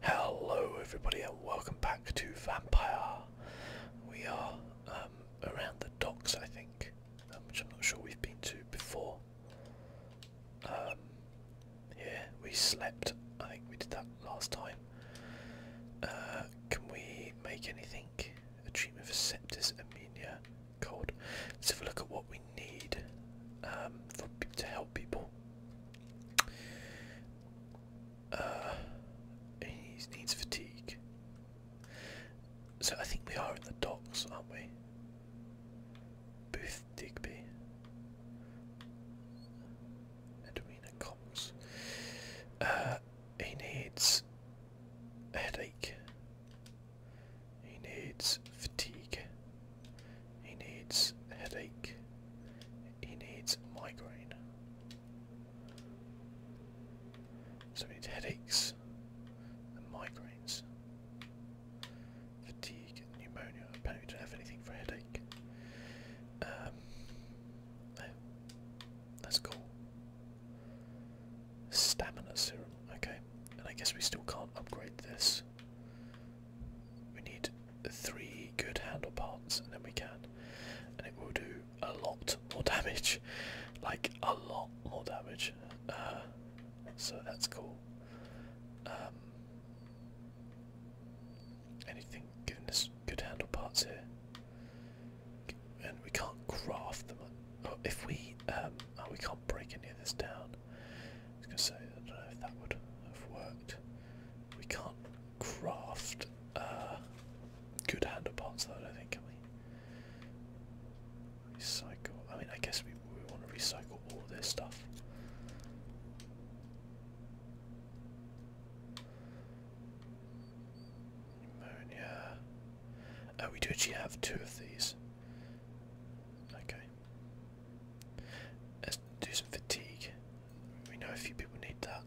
Hello everybody and welcome back to Vampire. We are um, around the docks I think, um, which I'm not sure we've been to before. Um, we slept. I think we did that last time. Uh, can we make anything? A treatment for septis, Amenia? cold. Let's have a look at what we need um, for, to help people. Uh, he needs fatigue. So I think we are in the docks, aren't we? Booth Digby. Edwina Cox. Uh, he needs headache. He needs fatigue. He needs headache. He needs migraine. So we need headaches and migraines. Fatigue, pneumonia. Apparently we don't have anything for headache. Um, That's cool. Stamina serum. Okay. And I guess we still can't upgrade this. We need three good handlebars and then we can. And it will do a lot more damage. Like a lot more damage. Uh, so that's cool. Um, anything giving us good handle parts here? And we can't craft them. Oh, if we, um, oh, we can't break any of this down. I was going to say, I don't know if that would have worked. We can't craft uh, good handleparts though, I don't think, can we? Recycle. I mean, I guess we, we want to recycle all this stuff. Pneumonia. Oh, we do actually have two of these. Okay. Let's do some fatigue. We know a few people need that.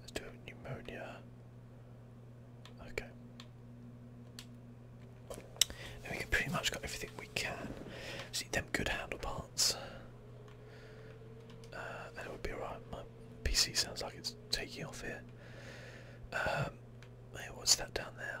Let's do pneumonia. Okay. we can pretty much got everything we can. See them good handle parts. Uh, would be alright. My PC sounds like it's taking off here. Um, hey, what's that down there?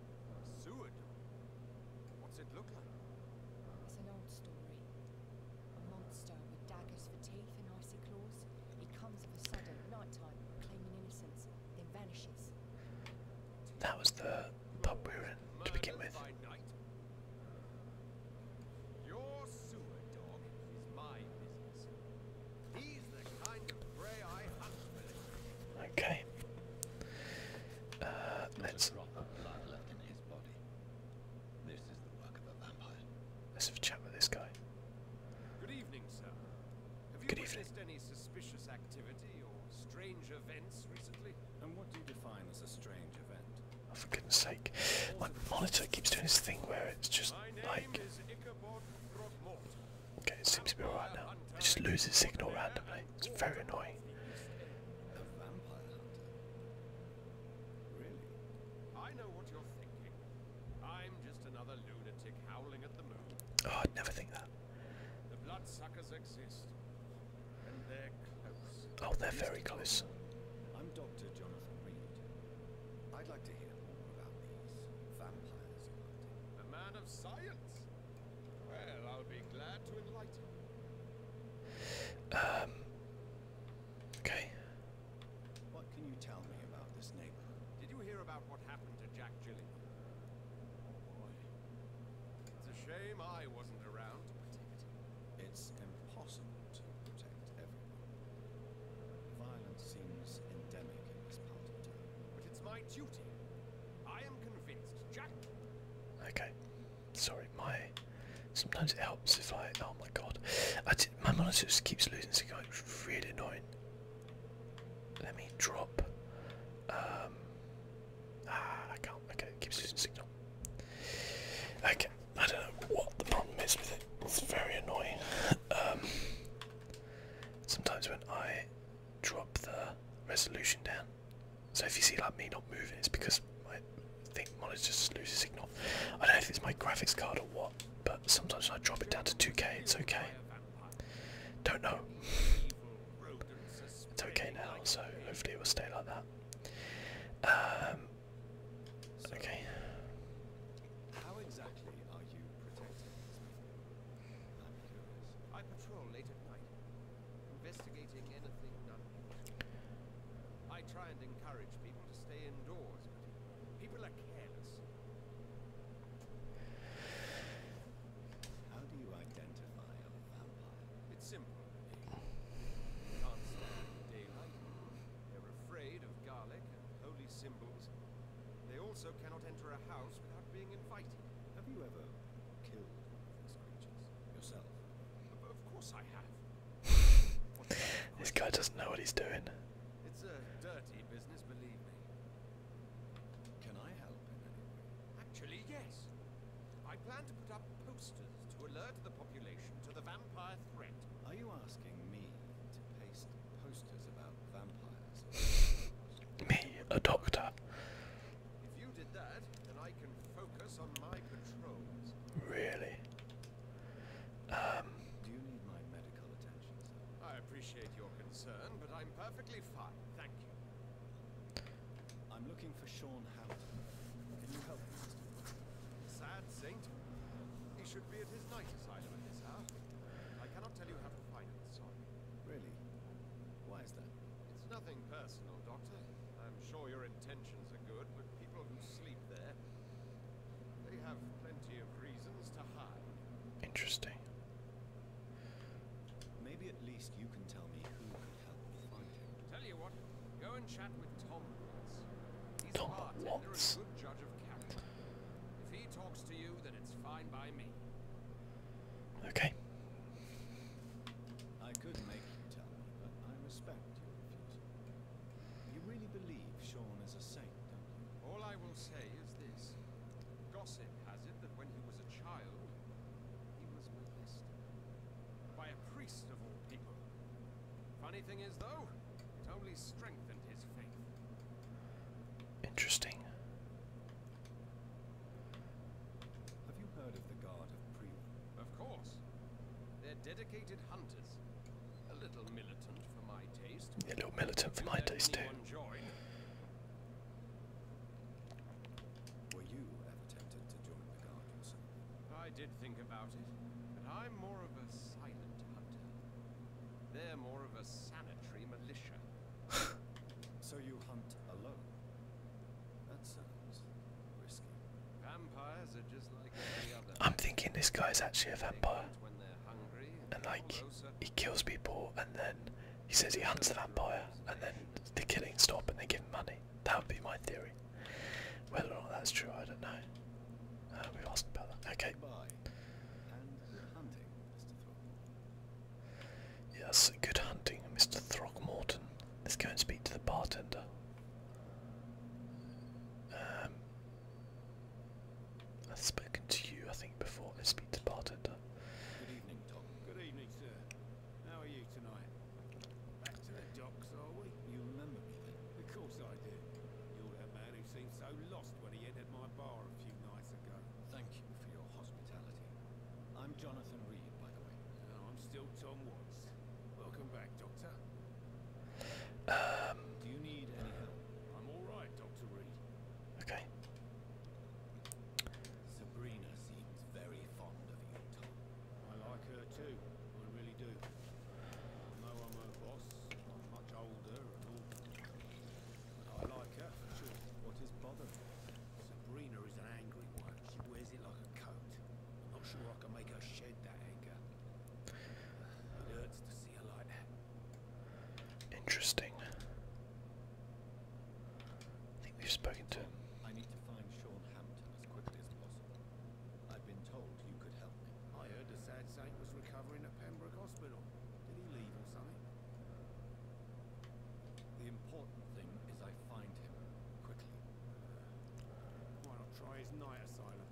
sewer door? What's it look like? It's an old story. A monster with daggers for teeth and icy claws. It comes of a sudden at night time, claiming innocence, then vanishes. That was the pub we were to begin with. Okay. Uh, let's. Let's have a chat with this guy. Good evening, sir. Have you noticed any suspicious activity or strange events recently? And what do you define as a strange event? Oh, for goodness sake. My monitor keeps doing this thing where it's just like. Okay, it seems to be alright now. It just loses signal randomly. It's very annoying. Really? I know what you're thinking. I'm just another lunatic howling at the moon. Oh, I'd never think that. The bloodsuckers exist. Oh, they're very close. I'm Dr. Jonathan Reed. I'd like to hear more about these vampires. A man of science. Well, I'll be glad to enlighten you. Um. Okay. What can you tell me about this neighborhood? Did you hear about what happened to Jack Gillingham? Oh, it's a shame I wasn't around It's impossible to protect everyone. Violence seems endemic in this part of town. But it's my duty. I am convinced, Jack. Okay, sorry. My sometimes it helps if I. Oh my god, I did, my monitor just keeps losing signal. It's really annoying. Let me drop. Um, ah, I can't. Okay, keeps losing signal. Okay, I don't know what the problem is with it. It's very annoying. um, sometimes when I drop the resolution down. So if you see like me not moving, it's because my think monitor just loses signal. I don't know if it's my graphics card or what, but sometimes I drop it down to 2K, it's okay. Don't know. It's okay now, so hopefully it will stay like that. Um, okay. Investigating anything I try and encourage people to stay indoors, but people are careless. How do you identify a vampire? It's simple. can't stand daylight. They're afraid of garlic and holy symbols. They also cannot enter a house without being invited. Have you ever killed one of these creatures yourself? this guy doesn't know what he's doing. It's a dirty business, believe me. Can I help in any way? Actually, yes. I plan to put up posters to alert the population to the vampire threat. Are you asking me to paste posters about vampires? me, a doctor. If you did that, then I can focus on my patrols. Really? Do you need my medical attention, I appreciate your concern, but I'm perfectly fine, thank you. I'm looking for Sean Howard. Can you help me, Mr. Sad saint. He should be at his night asylum at this house. I cannot tell you how to find it, sorry. Really? Why is that? It's nothing personal, Doctor. I'm sure your intentions are good, but people who sleep there, they have plenty of reasons to hide. Interesting. Maybe at least you can tell me who could help me find him. Tell you what, go and chat with Tom Watts. He's Tom a good judge of character. If he talks to you, then it's fine by me. Okay. I could make you tell me, but I respect your refusal. You really believe Sean is a saint, don't you? All I will say is this. Gossip has it that when he was a child, he was molested. By a priest of all people. Funny thing is though, it only strengthened his faith. Interesting. Have you heard of the Guard of Priva? Of course. They're dedicated hunters. A little militant for my taste. A little militant for my taste too. Were you tempted to join the Guard I did think about it, but I'm more of a silent hunter. They're more of a sanitary militia. so you hunt alone? That sounds risky. Vampires are just like I'm thinking this guy is actually a vampire. When they're hungry and, like he kills people and then he says he hunts the vampire and then the killing stop and they give him money. That would be my theory. Whether or not that's true, I don't know. Uh, we've asked about that. Okay. Yes, good hunting, Mr. Throckmorton. Let's go and speak to the bartender. Um, I've spoken to you, I think, before. Let's speak to the bartender. Good evening, Doc. Good evening, sir. How are you tonight? Back to the docks, are we? You remember me? Of course I do. You're that man who seemed so lost when he entered my bar a few nights ago. Thank you for your hospitality. I'm Jonathan Reed, by the way. I'm still Tom Watts. Welcome back, Doctor. Um, Do you need any help? I'm all right, Doctor Reed. Okay. Sabrina seems very fond of you, I like her too. I really do. Although I'm her boss, I'm much older and all. I like her for sure. What is bothering? Sabrina is an angry one. She wears it like a coat. I'm not sure I can make her shed that anger. It hurts to see her like that. Interesting. I think we've spoken to I need to find Sean Hampton as quickly as possible. I've been told you could help me. I heard a sad saint was recovering at Pembroke Hospital. Did he leave or something? The important thing is I find him quickly. Why not try his night asylum?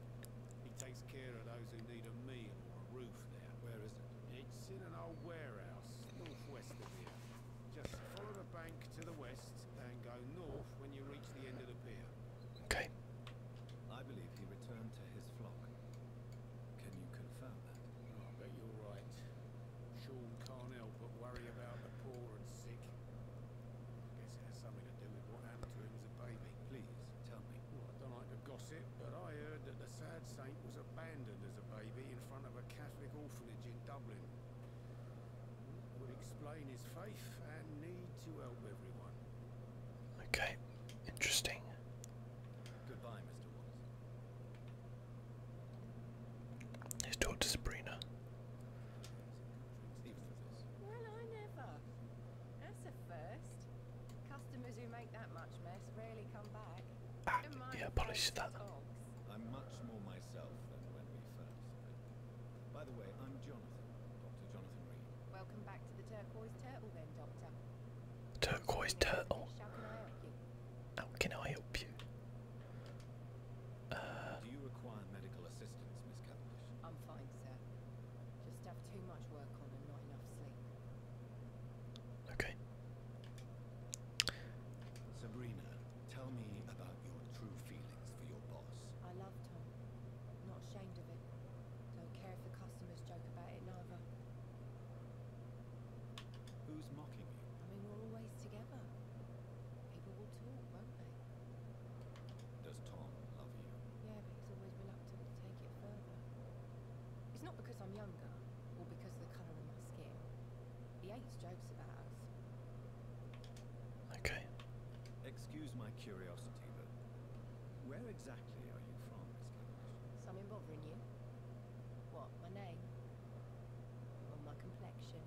He takes care of those who need a meal or a roof There, Where is it? It's in an old warehouse, northwest of here. Just follow the bank to the west and go north when you reach the end of the pier. Okay. I believe he returned to his flock. Can you confirm that? I bet you're right. Sean can but worry about the poor and sick. Guess it has something to do with what happened to him as a baby. Please, tell me. I don't like to gossip, but I heard that the sad saint was abandoned as a baby in front of a Catholic orphanage in Dublin. It would explain his faith and need to help everyone. Okay, interesting. Goodbye, Mr. Watson. He's talk to Sabrina. Well, I never. That's a first. Customers who make that much mess rarely come back. Ah, yeah, polish that. By the way, I'm Jonathan, Dr. Jonathan Reed. Welcome back to the turquoise turtle then, Doctor. Turquoise turtle. How can I help you? Do you require medical assistance, Miss Cavendish? I'm fine, sir. Just have too much work on and not enough sleep. Okay. Sabrina, tell me about your true feelings for your boss. I love Tom. not ashamed of it. Don't care if the customers joke about it neither. Who's mocking you? I mean, we're always together. People will talk, won't they? Does Tom love you? Yeah, but he's always reluctant to take it further. It's not because I'm younger, or because of the colour of my skin. He hates jokes about us. Okay. Excuse my curiosity, but where exactly are you from, Miss Some bothering you? What, my name? on my complexion.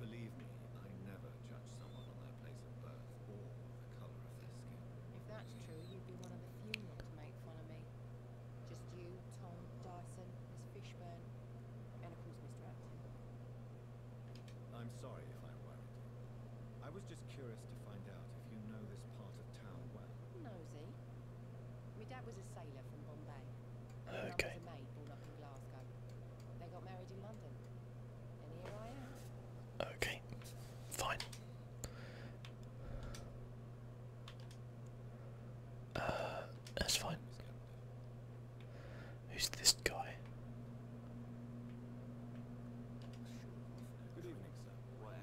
Believe me, I never judge someone on their place of birth or the color of their skin. If that's true, you'd be one of the few not to make fun of me. Just you, Tom, Dyson, Miss Fishburne, and of course Mr. Acton. I'm sorry if I worried you. I was just curious to find out if you know this part of town well. Nosy. My dad was a sailor from Bombay. Okay. Mum was a maid born up in Glasgow. They got married in London. And here I am. Okay. Fine. Uh, that's fine. Who's this guy? Good evening, sir.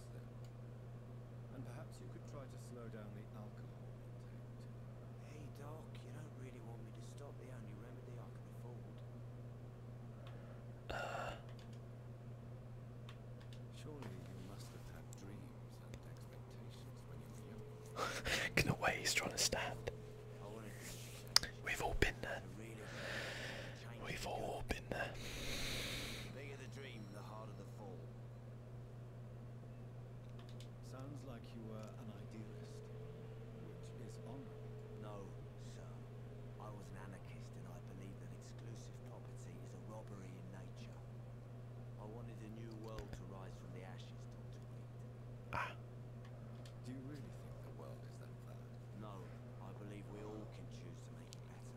percent. And perhaps you could try to slow down the alcohol intake Hey Doc, you don't really want me to stop the only remedy I can afford. Surely you must have had dreams and expectations when you were young. trying to stand. We've all been there. We've all been Bigger the dream, the harder the fall. Sounds like you were an idealist, No, sir. I was an anarchist and I believe that exclusive property is a robbery in nature. I wanted a new world to rise from the ashes, Ah. Do you really think the world is that bad? No, I believe we all can choose to make it better.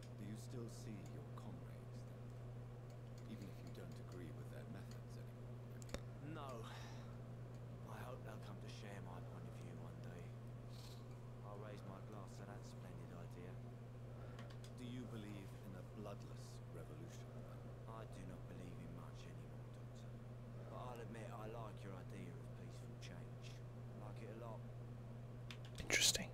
Do you still see your comrades, then? even if you don't agree with their methods anymore? No. I hope they'll come to share my point of view one day. I'll raise my glass to that splendid idea. Do you believe in a bloodless revolution? I do not believe in much anymore, Doctor. But I'll admit I like your idea of peaceful change. I like it a lot. Interesting.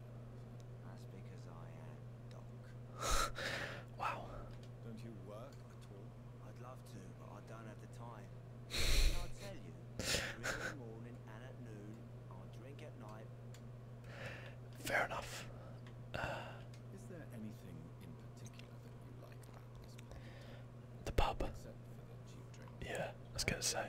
That's because I am Doc. wow. Don't you work at all? I'd love to, but I don't have the time. And I tell you, in the morning and at noon, I drink at night. Fair enough. Uh, Is there anything in particular that you like The pub. Yeah, I was gonna say.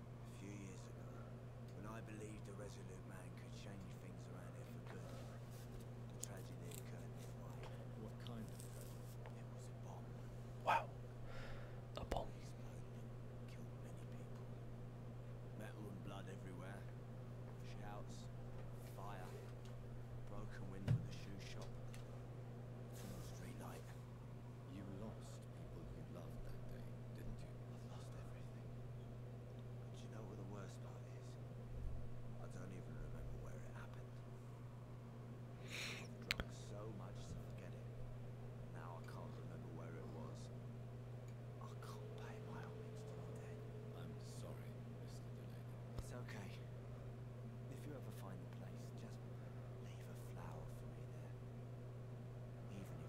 A few years ago, when I believed a resolute man could change things around here for good, a tragedy occurred in my What kind of tragedy? It was a bomb. Wow. A bomb. It exploded, killed many people. Metal and blood everywhere. Shouts, fire, broken window of the shoe shop, you lost people you loved that day, didn't you? I have lost everything. But you know what the worst part is? I don't even remember where it happened. I've drunk so much to forget it. Now I can't remember where it was. I can't pay my homage to the dead. I'm sorry, Mr. Delaney. It's okay. If you ever find the place, just leave a flower for me there. Even if.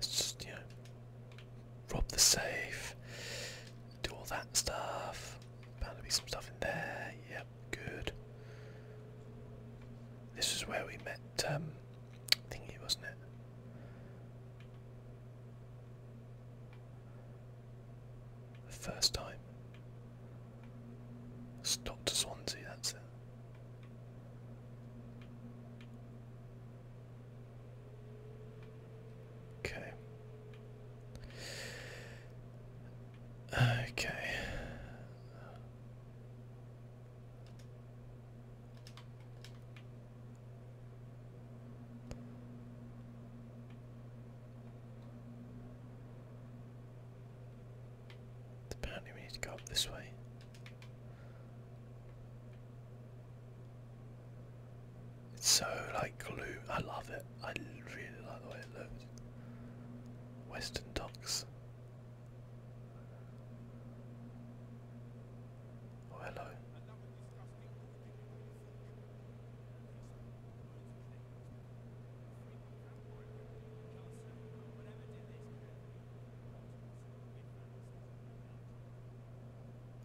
just, you rob the safe, do all that stuff. Bound to be some stuff in there. Yep, good. This is where we met um, thingy, wasn't it? The first time. Stop to Swansea, that's it. Okay. Okay. Apparently we need to go up this way. It's so like glue. I love it. I really like the way it looks. Western docks. Oh hello.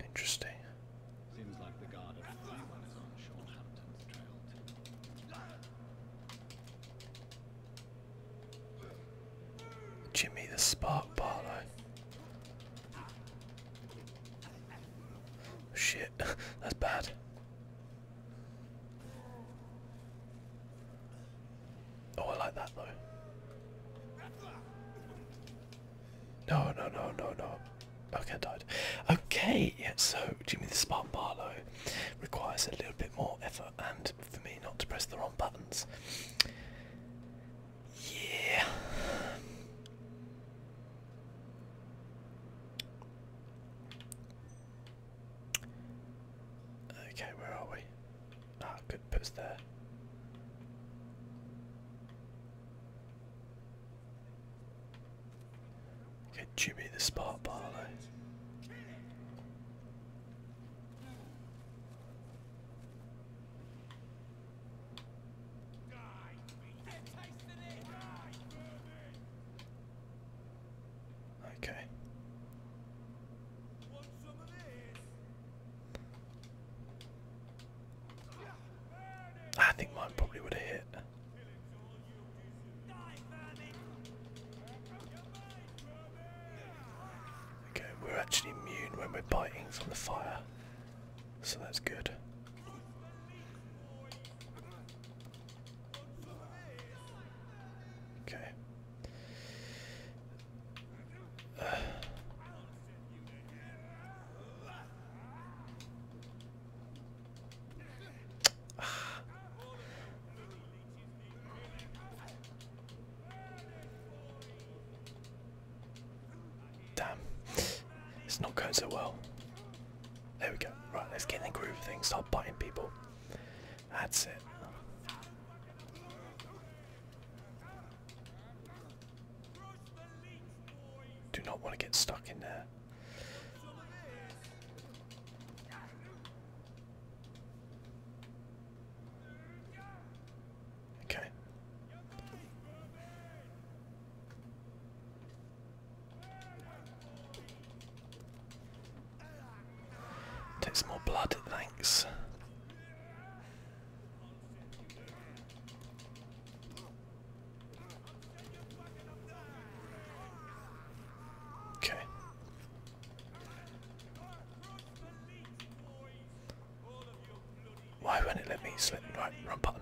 Interesting. Seems like the guard at Jimmy the Spark Barlow. Shit, that's bad. Oh, I like that though. No, no, no, no, no. Okay, died. Okay, yeah, so Jimmy the Spartan Barlow requires a little bit more effort and for me not to press the wrong buttons. Yeah. Okay, where are we? Ah, good post there. Get Jimmy the Spot Barlow. Okay. I think mine probably would have hit. Okay, we're actually immune when we're biting from the fire, so that's good. Okay, Damn, it's not going so well. There we go. Right, let's get in the groove of things. Start biting people. That's it. Do not want to get stuck in there. Okay. Take some more blood, thanks. Okay. Why won't it let me slip? Right, wrong button.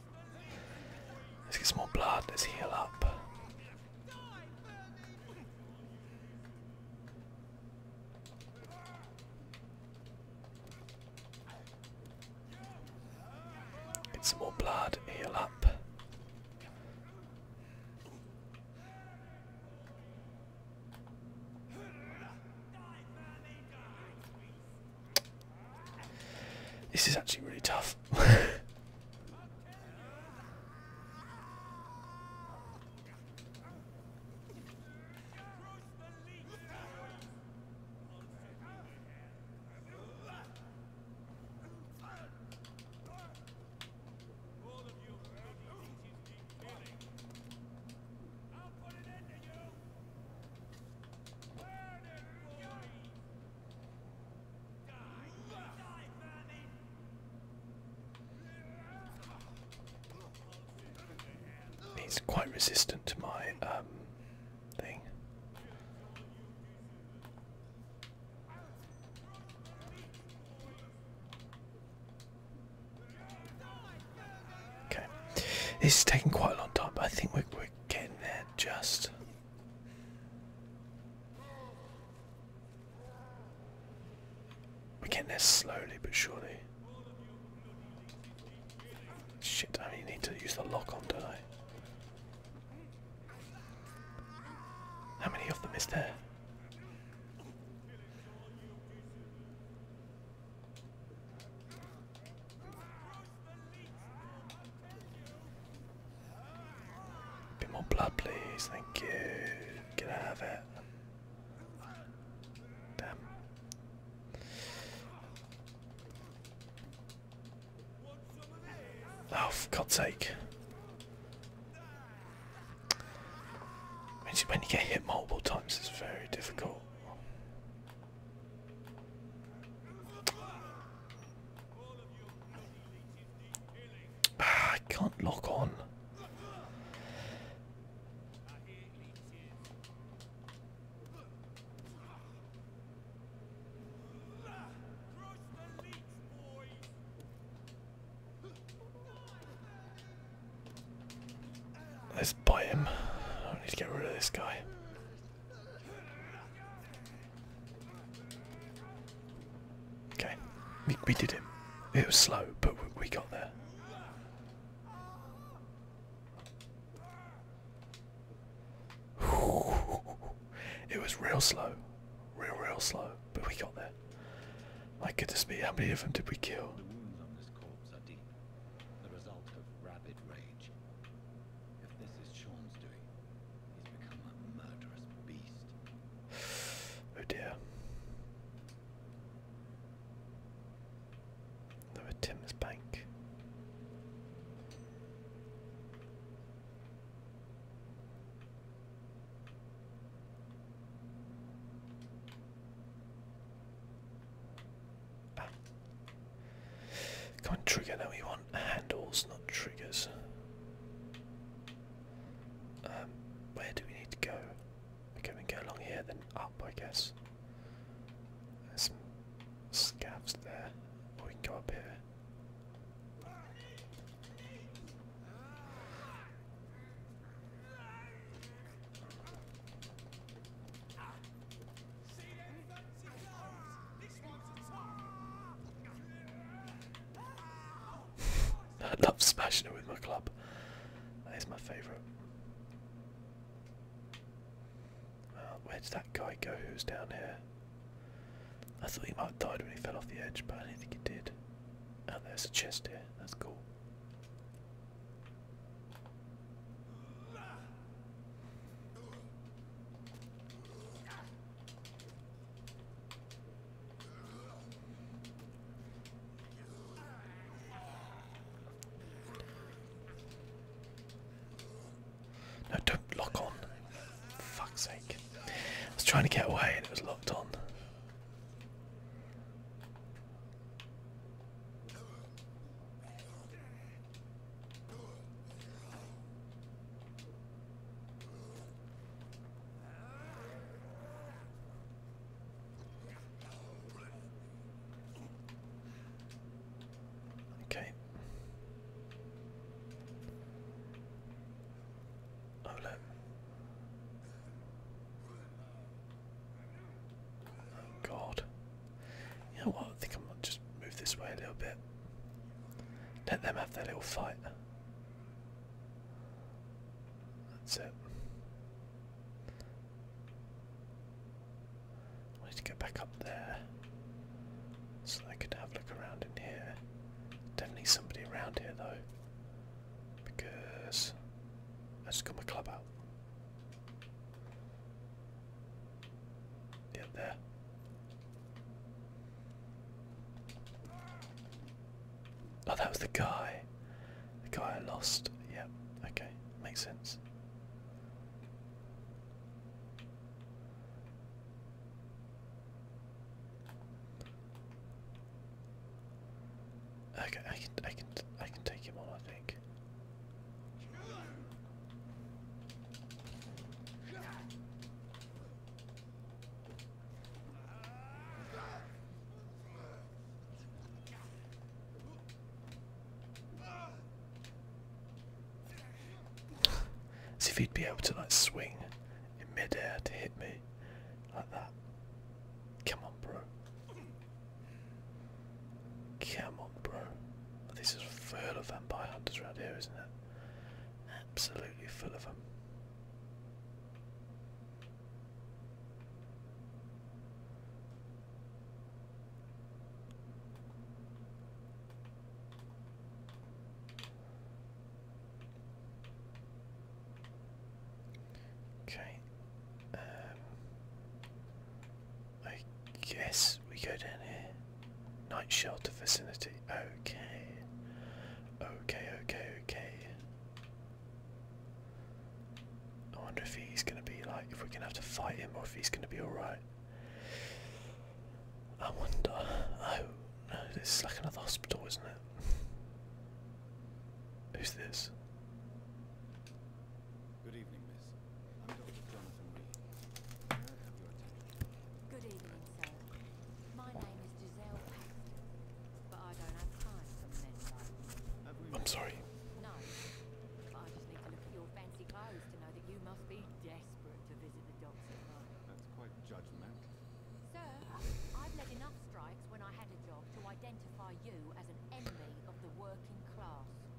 Let's get some more blood. Let's heal up. Get some more blood. Heal up. This is actually really tough. He's quite resistant to my um, thing. Okay, this taking quite a long time, but I think we're, getting there just. We're getting there slowly but surely. Shit, I only need to use the lock on, don't I? How many of them is there? bit more blood, please. Thank you. Get out of it. Damn. Oh, for God's sake. When you get hit multiple times, it's very difficult. Ah, I can't lock on. Let's bite him. I need to get rid of this guy. Okay, we, did it. It was slow, but we, got there. It was real slow, real, real slow, but we got there. My goodness me, how many of them did we kill? The result of rapid if this is Sean's doing, he's become a murderous beast. oh dear. There are Tim's bank. Ah. Come on, trigger. that we want handles, not triggers. Um, where do we need to go? Okay, we can go along here, then up, I guess. There's some scabs there. we can go up here. I love smashing it with my club. That is my favourite. Uh, where did that guy go who's down here? I thought he might have died when he fell off the edge, but I don't think he did. And oh, there's a chest here, that's cool. No, don't lock on. fuck's sake. I was trying to get away and it was locked on. Okay. Oh look. Oh, God. You know what? I think i might just move this way a little bit. Let them have their little fight. That's it. I need to go back up there so that I could have a look around in here. Definitely somebody around here though, because I just got my club out. Yeah, Oh, that was the guy. The guy I lost. Yep, okay, makes sense. Okay, I can, I can, I can take him on think. As if he'd be able to like swing in midair to hit me like that. Come on, bro. Come on, bro. This is full of vampire hunters around here, isn't it? Absolutely full of them. Okay. Um, I guess we go down here. Night shelter vicinity. Okay. Okay, okay, okay. I wonder if he's gonna be like if we're gonna have to fight him or if he's gonna be alright. I wonder. Oh no, this is like another hospital, isn't it? Who's this? Good evening, miss. I'm Dr. Jonathan Reed. I have your attention? Good evening, sir. My name is Giselle Paxton, but I don't have time for men I'm sorry. No, I just need to look at your fancy clothes to know that you must be desperate to visit the doctor. That's quite judgmental. Sir, I've led enough strikes when I had a job to identify you as an enemy of the working class.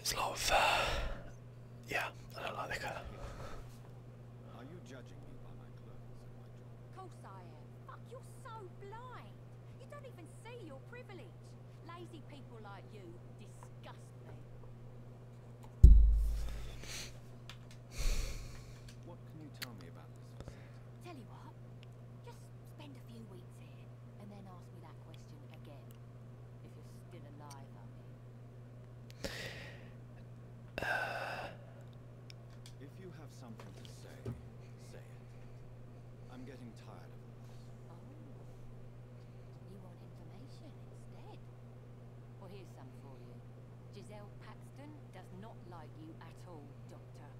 It's a lot of, uh, yeah, I don't like the colour. Are you judging me by my clothes I am. Fuck, you're so blind. You don't even see your privilege. Lazy people like you disgust me. Tell you what. Just spend a few weeks here, and then ask me that question again. If you're still alive, I mean. If you have something to say, say it. I'm getting tired of this. Oh. You want information instead? Well, here's some for you. Giselle Paxton does not like you at all, Doctor.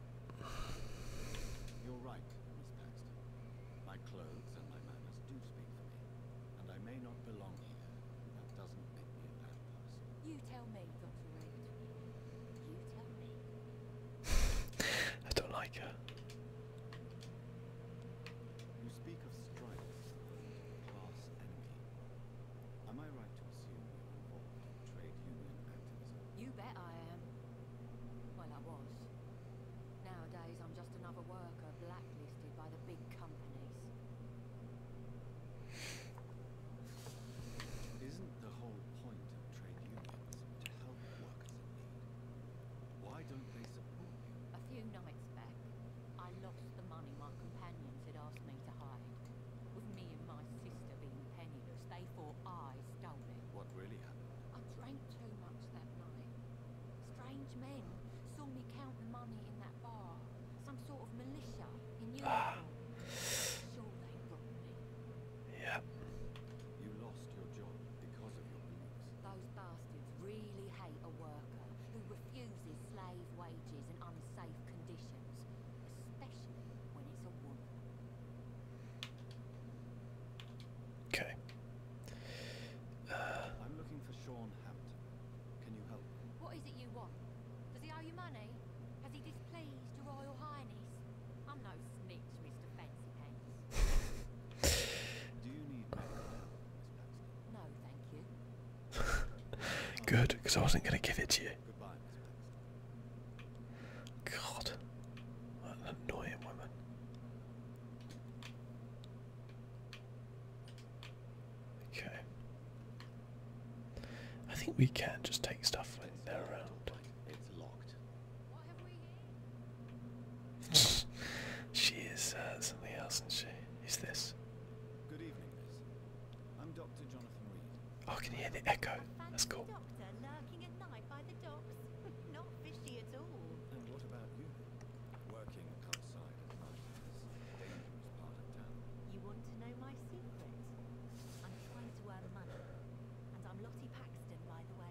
You're right, Miss Paxton. My clothes and my manners do speak for me, and I may not belong here. That doesn't make me a bad person. You tell me, Doctor Wade. You tell me. I don't like her. You speak of strikes, class enemy. Am I right to assume you're involved in trade union activism? You bet I am. Well, I was. Nowadays, I'm just another worker blacklisted by the big companies. Isn't the whole point of trade unions to help workers Why don't they support you? A few nights back, I lost the money my companions had asked me to hide. With me and my sister being penniless, they thought I stole it. What really happened? too much that night. Strange men saw me count the money in that bar. Some sort of militia in uniform. sure they robbed me. Yep. You lost your job because of your beliefs. Those bastards really hate a worker who refuses slave wages and unsafe conditions, especially when it's a woman. Okay. Uh, I'm looking for Sean Hampton. Can you help? What is it you want? Does he owe you money? Has he displeased your Royal Highness? I'm no snitch, Mr. Fancy Pants. Do you need help, Miss No, thank you. Good, because I wasn't going to give it to you. God, an annoying woman. Okay. I think we can just take stuff when they're around. It's locked. she is uh, something else, isn't she? Is this? Good evening, I'm Dr. Jonathan Reed. Oh, I can hear the echo. That's cool. Doctor, working at night by the docks. Not fishy at all. And what about you? Working outside at night is a dangerous part of town. You want to know my secret? I'm trying to earn money. And I'm Lottie Paxton, by the way.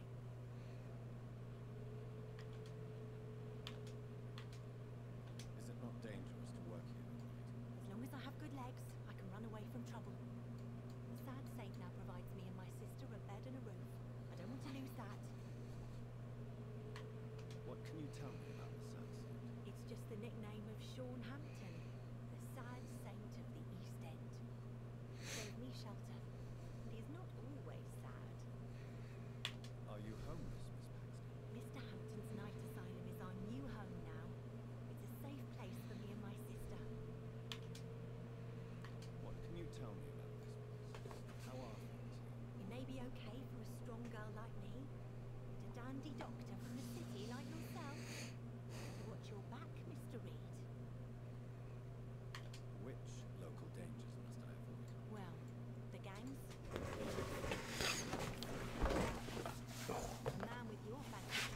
Is it not dangerous to work here As long as I have good legs, I can run away from trouble. sad saint now provides me and my sister a bed and a room. I don't want to lose that. What can you tell me about the Sunset? It's just the nickname of Sean Hampton, the sad saint of the East End. He gave me shelter, and he's not always sad. Are you homeless, Miss Baxter? Mr. Hampton's night asylum is our new home now. It's a safe place for me and my sister. What can you tell me about this place? How are things? It may be okay for a strong girl like me, but a dandy doctor from the city like yourself. watch your back, Mr. Reed. Which local dangers must I avoid? Well, the gangs. A man with your fancy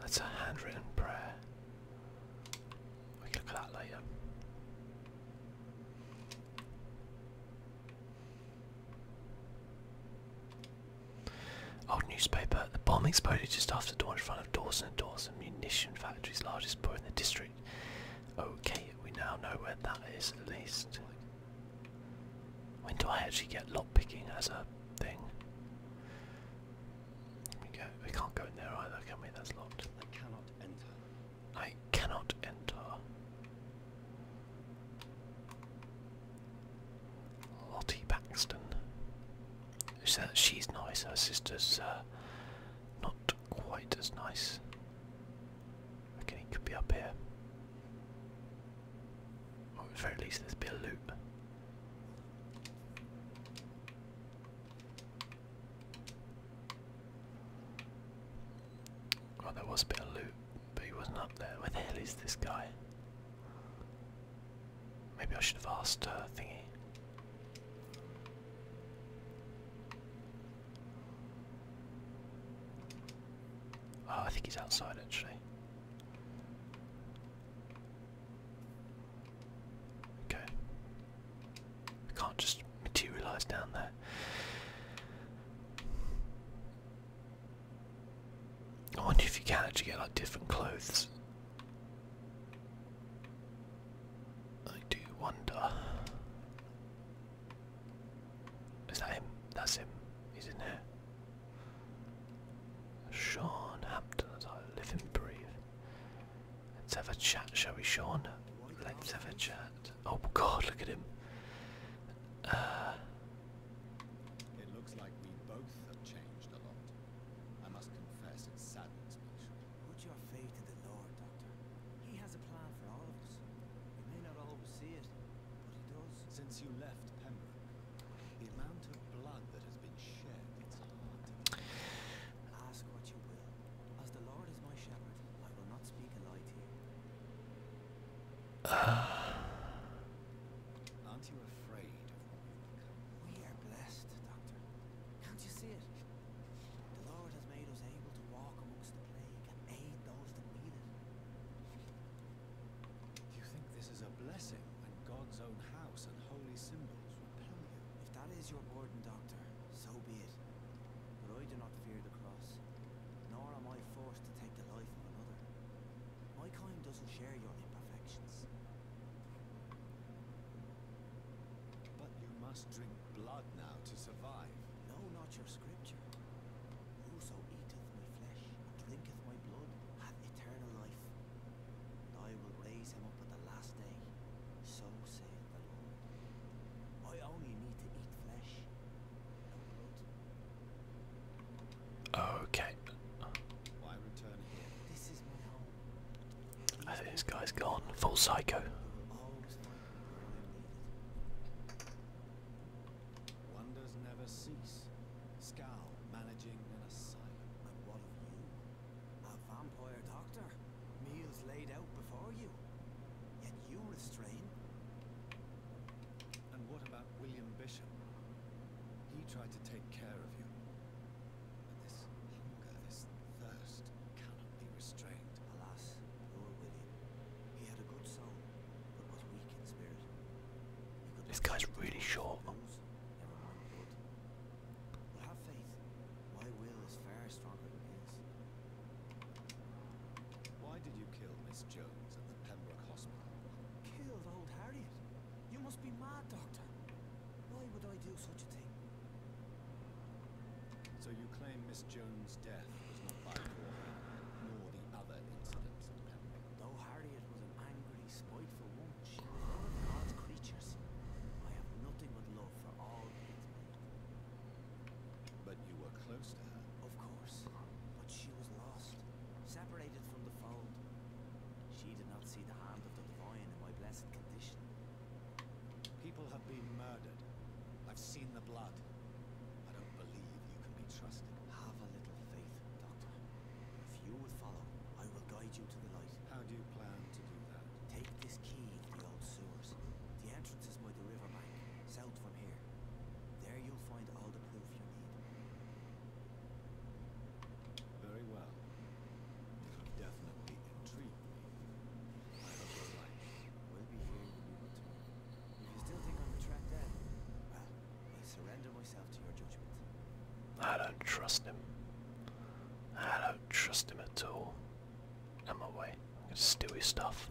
That's a handwritten prayer. We can look at that later. Old newspaper. The bomb exploded just after dawn in front of Dawson and Dawson Munition Factory's largest port in the district. Okay, we now know where that is at least. When do I actually get lockpicking as a thing? We, can't go in there either, can we? That's locked. I cannot enter. I cannot enter. Lottie Baxton. She's nice. Her sister's uh, not quite as nice. Okay, he could be up here. Or at the least, there's be a loop. Oh, there was a bit of loot, but he wasn't up there. Where the hell is this guy? Maybe I should have asked thingy. Oh, I think he's outside actually. Okay. I can't just materialize down there. I wonder if you can actually get like different clothes. I do wonder. Is that him? That's him. He's in there. Sean Hampton, I live and breathe. Let's have a chat, shall we, Sean? Let's have a chat. Oh God, look at him. it looks like we both have changed a lot. I must confess, it saddens me. Put your faith in the Lord, Doctor. He has a plan for all of us. We may not always see it, but he does. Since you left Pem the amount of blood that has been shed, it's hard to ask what you will. As the Lord is my shepherd, I will not speak a lie to you. Aren't you afraid of what we've become? We are blessed, Doctor. Can't you see it? The Lord has made us able to walk amongst the plague and aid those that need it. You think this is a blessing when God's own house and holy symbols repel you? If that is your burden, Doctor, so be it. But I do not fear the cross, nor am I forced to take the life of another. My kind doesn't share your imperfections. But you must drink blood now to survive. No, not your scripture. Whoso eateth and drinketh my blood, hath eternal life. And I will raise him up at the last day, so saith the Lord. I only need to eat flesh, no blood. Okay. Why return here? This is my home. I think this guy's gone full psycho. Wonders never cease. Scowl managing an asylum. And what of you? A vampire doctor? Meals laid out before you. Yet you restrain. And what about William Bishop? He tried to take care of you. But this hunger, this thirst, cannot be restrained. Alas, poor William. This guy's really short. Why did you kill Miss Jones at the Pembroke Hospital? Killed old Harriet? You must be mad, Doctor. Why would I do such a thing? So you claim Miss Jones' death was not by war, nor the other incidents in Pembroke? Though Harriet was an angry, spiteful woman, she was one God's creatures. I have nothing but love for all God's made. But you were close to her? Of course. But she was lost, separated from the fold. She did not see the hand of the divine in my blessed condition. People have been murdered. I've seen the blood. I don't believe you can be trusted. Have a little faith. Doctor. If you will follow, I will guide you to the light. How do you plan to do that? Take this key to the old sewers. The entrance is by the riverbank, south from here. There you'll find all the proof you need. Very well. You have definitely intrigued me. I hope will be here when you return. If you still think I'm a well, I surrender myself to your judgment. I don't trust him. I don't trust him at all. I'm away. I'm gonna steal his stuff.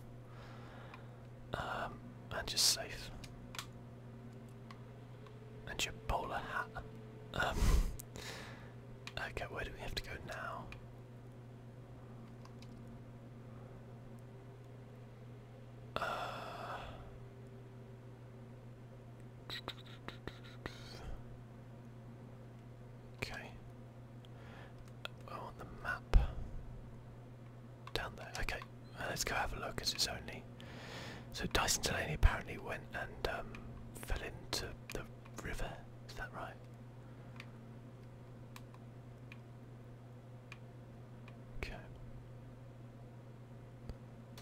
Um, and your safe. And your bowler hat. Um, okay, where do we have to go now? okay. Oh, on the map. Down there. Okay. Uh, let's go have a look Cause it's only. So Dyson Delaney apparently went and um, fell into the river. Is that right? Okay.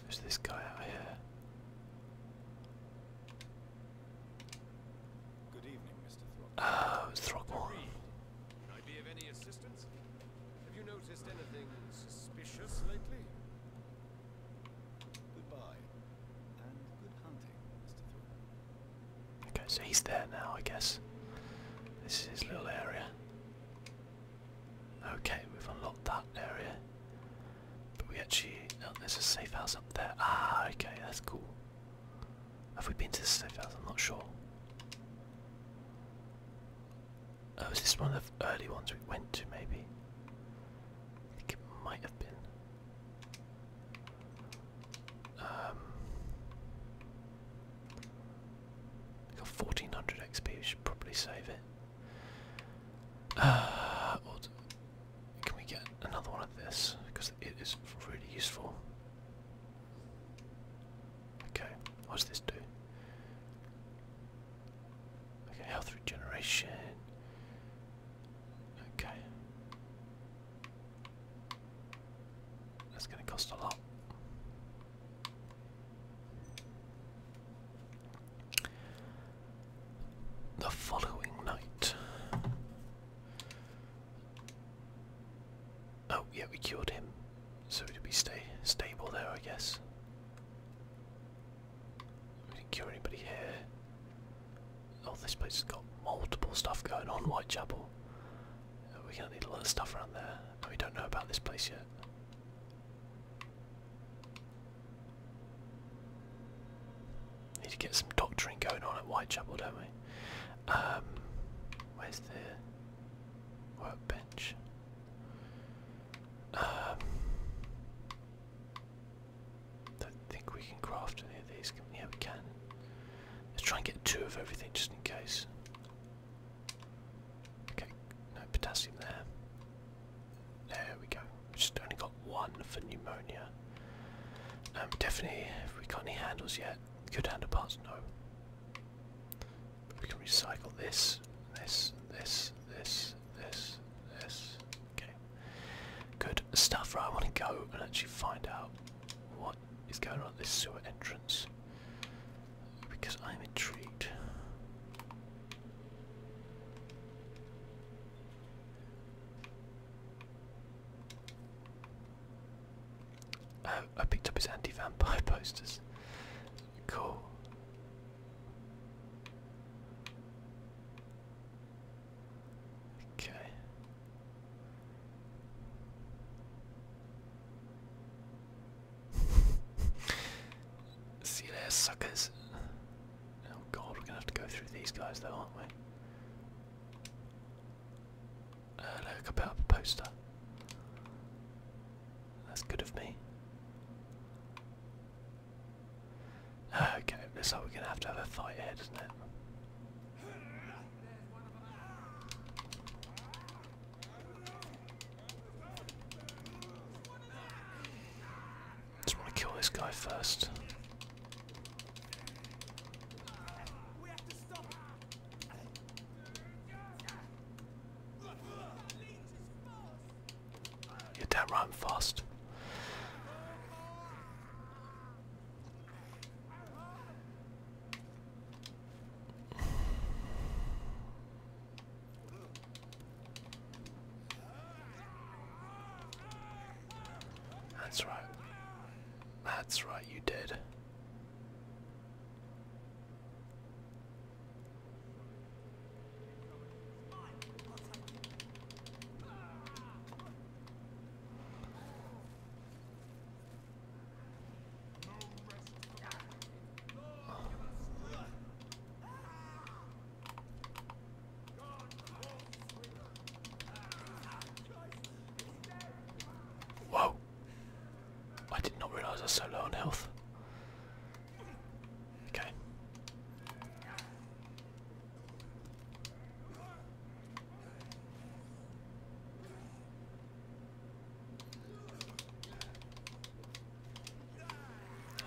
There's this guy out here. Good evening, Mr. Throckmorton. Oh, ah, it's Throckmorton. Can I be of any assistance? Have you noticed anything suspicious lately? Okay, so he's there now, I guess. This is his little area. Okay, we've unlocked that area. But we actually... Oh, there's a safe house up there. Ah, okay, that's cool. Have we been to the safe house? I'm not sure. Oh, is this one of the early ones we went to, maybe? I think it might have been. Um, Got 1400 XP, we should probably save it. Uh, can we get another one of this? Because it is really useful. Okay, what does this do? Okay, health regeneration. Okay. That's going to cost a lot. The following night. Oh yeah, we cured him. So did we stay stable there, I guess. We didn't cure anybody here. Oh, this place has got multiple stuff going on, Whitechapel. Uh, we're gonna need a lot of stuff around there, and we don't know about this place yet. Need to get some doctoring going on at Whitechapel, don't we? Um, where's the workbench? Um, don't think we can craft any of these. yeah, we can. Let's try and get two of everything just in case. Okay, no potassium there. There we go. have just only got one for pneumonia. Um, definitely, if we got any handles yet, good handle parts, no. we can recycle this, this, this, this, this, this. Okay, good stuff. Right, I want to go and actually find out what is going on this sewer entrance because I'm intrigued. Um, I picked up his anti-vampire posters. Cool. Okay. See you there, suckers. Oh god, we're gonna have to go through these guys though, aren't we? Uh, look, I put up a poster. That's good of me. Okay, looks like we're gonna have to have a fight here, doesn't it? Just want to kill this guy first. You're right fast. That's right. That's right, you did. Whoa! I did not realise I was so low on health. Okay.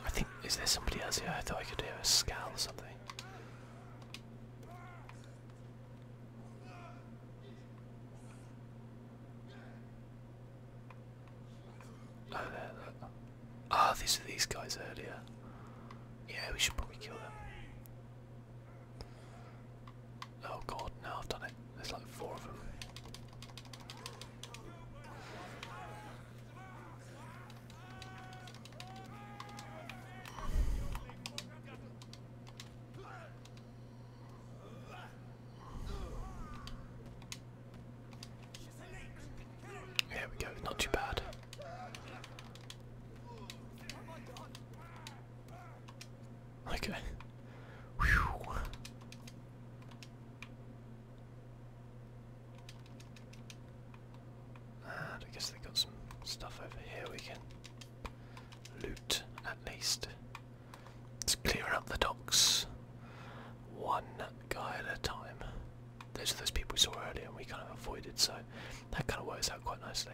I think is there somebody else here? I thought I could hear a scowl or something. Oh, there, there. Ah, these are these guys earlier. Yeah, we should probably kill them. Oh god, now I've done it. There's like four of them. There we go, not too bad. Okay. Whew. I guess they have got some stuff over here we can loot at least. Let's clear up the docks one guy at a time. Those are those people we saw earlier and we kind of avoided, so that kind of works out quite nicely.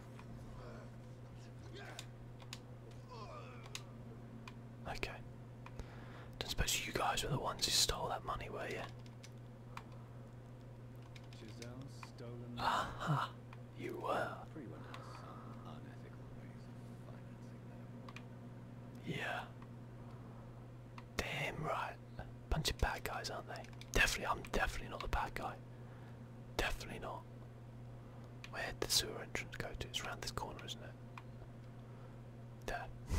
Okay. Don't suppose you guys were the ones who stole that money, were you? Stolen Aha! You were. Yeah. Damn right. Bunch of bad guys, aren't they? Definitely, I'm definitely not the bad guy. Definitely not. Where would the sewer entrance go to? It's around this corner, isn't it? There.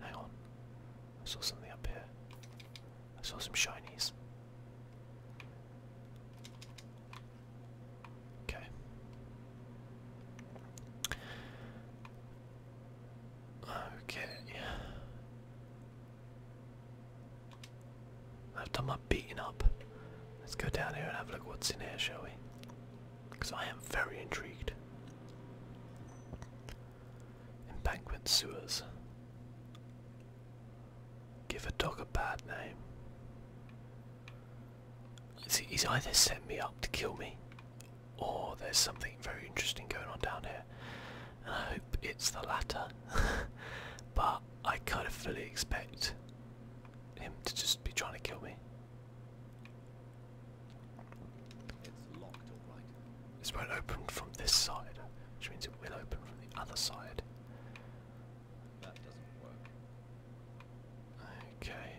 Hang on. I saw something up here. I saw some shinies. Okay. Okay. I've done my beating up. Let's go down here and have a look what's in here, shall we? Because I am very intrigued. Banquet sewers. Give a dog a bad name. See, he's either set me up to kill me, or there's something very interesting going on down here and I hope it's the latter. but I kind of fully expect him to just be trying to kill me. It's locked, all right. This won't open from this side, which means it will open from the other side. That doesn't work. Okay.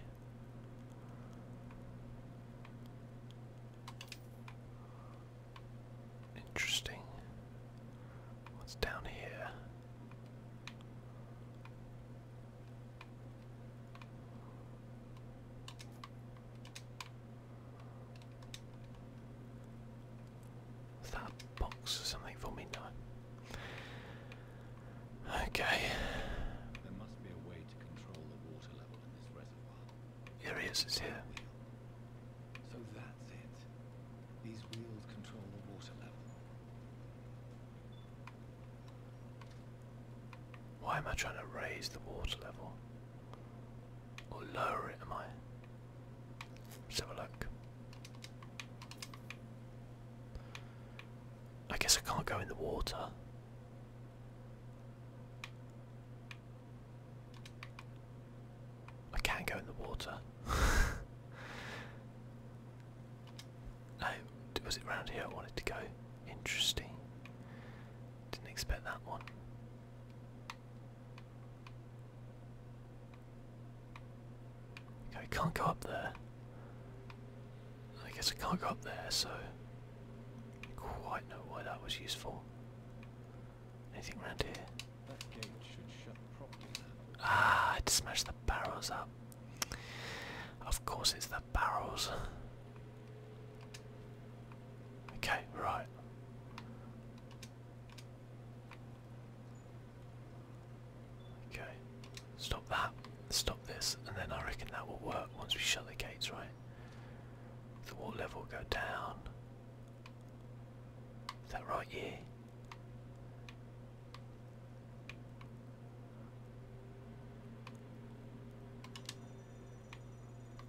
Interesting. What's down here? Is that box or something for me? No. Okay. There must be a way to control the water level in this reservoir. Here is, here. So that's it. These wheels control the water level. Why am I trying to raise the water level? Or lower it, am I? Let's have a look. I guess I can't go in the water. I can't go in the water. no, was it round here I wanted to go? Interesting. Didn't expect that one. Okay, I can't go up there. I guess I can't go up there, so I quite know why that was useful. Anything around here? That gate should shut properly now. Ah, I had to smash the barrels up. Of course it's the barrels. Okay, right. Okay. Stop that. Stop this. And then I reckon that will work once we shut the gates, right? The water level go down. Is that right? Yeah.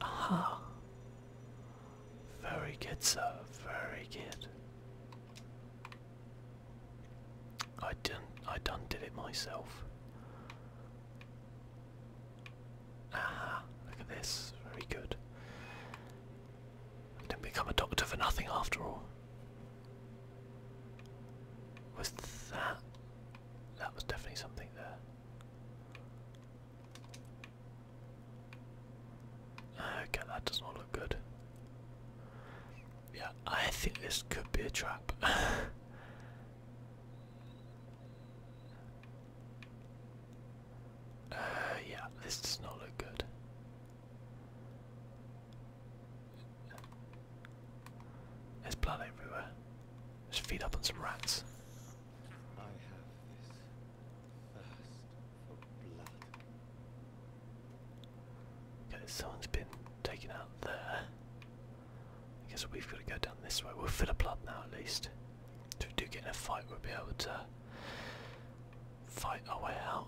Aha. Very good, sir. Very good. I done. I done did it myself. Ah, look at this. Very good. didn't become a doctor for nothing after all. Was that? That was definitely something there. Okay, that does not look good. Yeah, I think this could be a trap. Uh, yeah, this does not look good. There's blood everywhere. Just feed up on some rats. I someone's been taken out there. guess we've got to go down this way. We'll fill up blood now at least do get in a fight, we'll be able to fight our way out.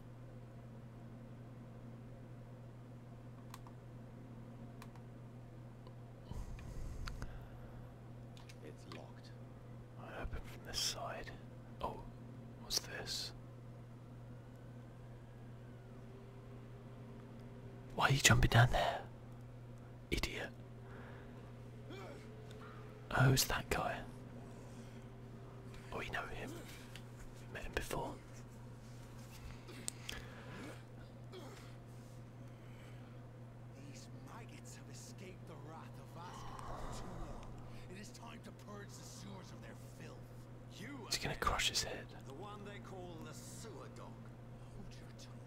It's locked. I open from this side. Oh, what's this? Why are you jumping down there? Idiot. Who's oh, that guy. Oh, we know him. We met him before. These maggots have escaped the wrath of Asgard It is time to purge the sewers of their filth. You He's gonna crush his head. The one they call the sewer dog. Hold your tongue.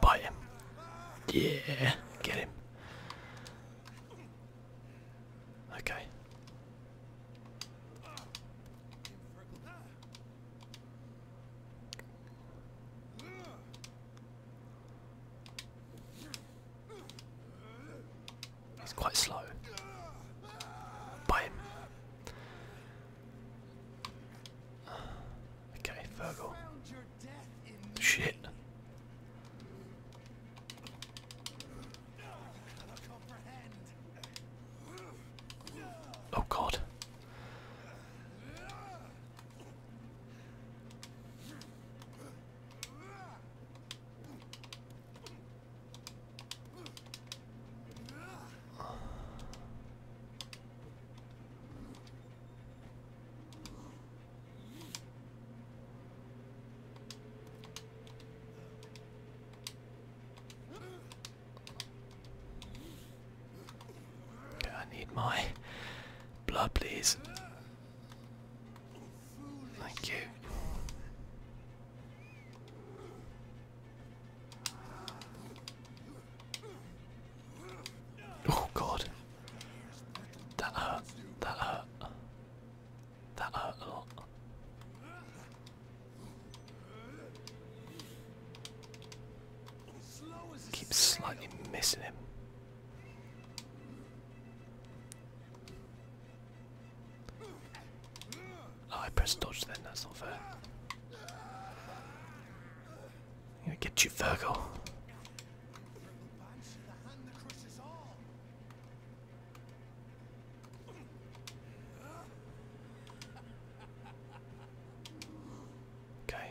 Bite him. Yeah, get him. Okay. He's quite slow. Buy Okay, Virgil. Shit. Oh god. I need my blood, please. Thank you. Oh god. That hurt. That hurt. That hurt a lot. Keep slightly missing him. Oh, I pressed dodge then, that's not fair. i gonna get you, Virgo. Okay.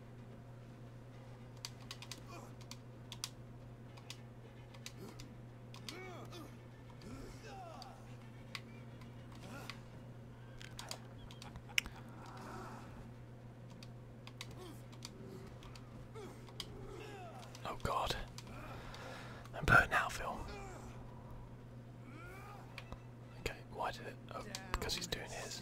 Oh God, I'm blurred now, Phil. Okay, why did it? Oh, because he's doing his.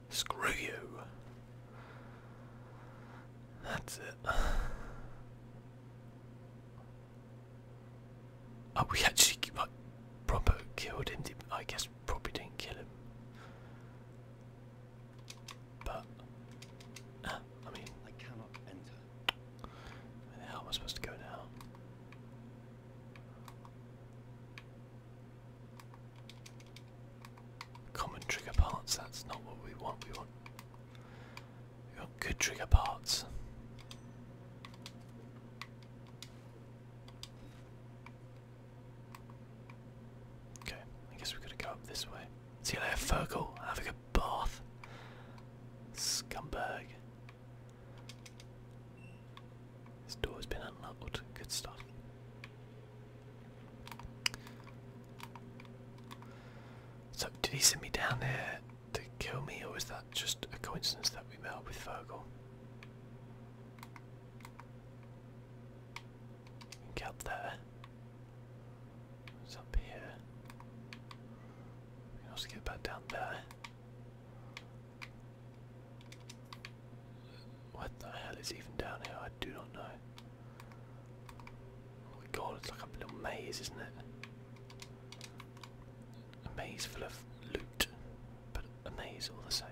Screw you. That's it. Oh, we actually proper killed him. I guess probably didn't kill him. But ah, I mean, I cannot enter. Where the hell am I supposed to go now? Common trigger parts, that's not what we want. We want good trigger parts. Okay, I guess we've got to go up this way. See you later, Fergal. Have a good bath. Scumbag. This door has been unlocked. Good stuff. So, did he send me down there to kill me, or was that just a coincidence that we met up with Vogel? Get up there. It's up here. We can get back down there. What the hell is even down here? I do not know. Oh my god, it's like a little maze, isn't it? A maze full of loot, but a maze all the same.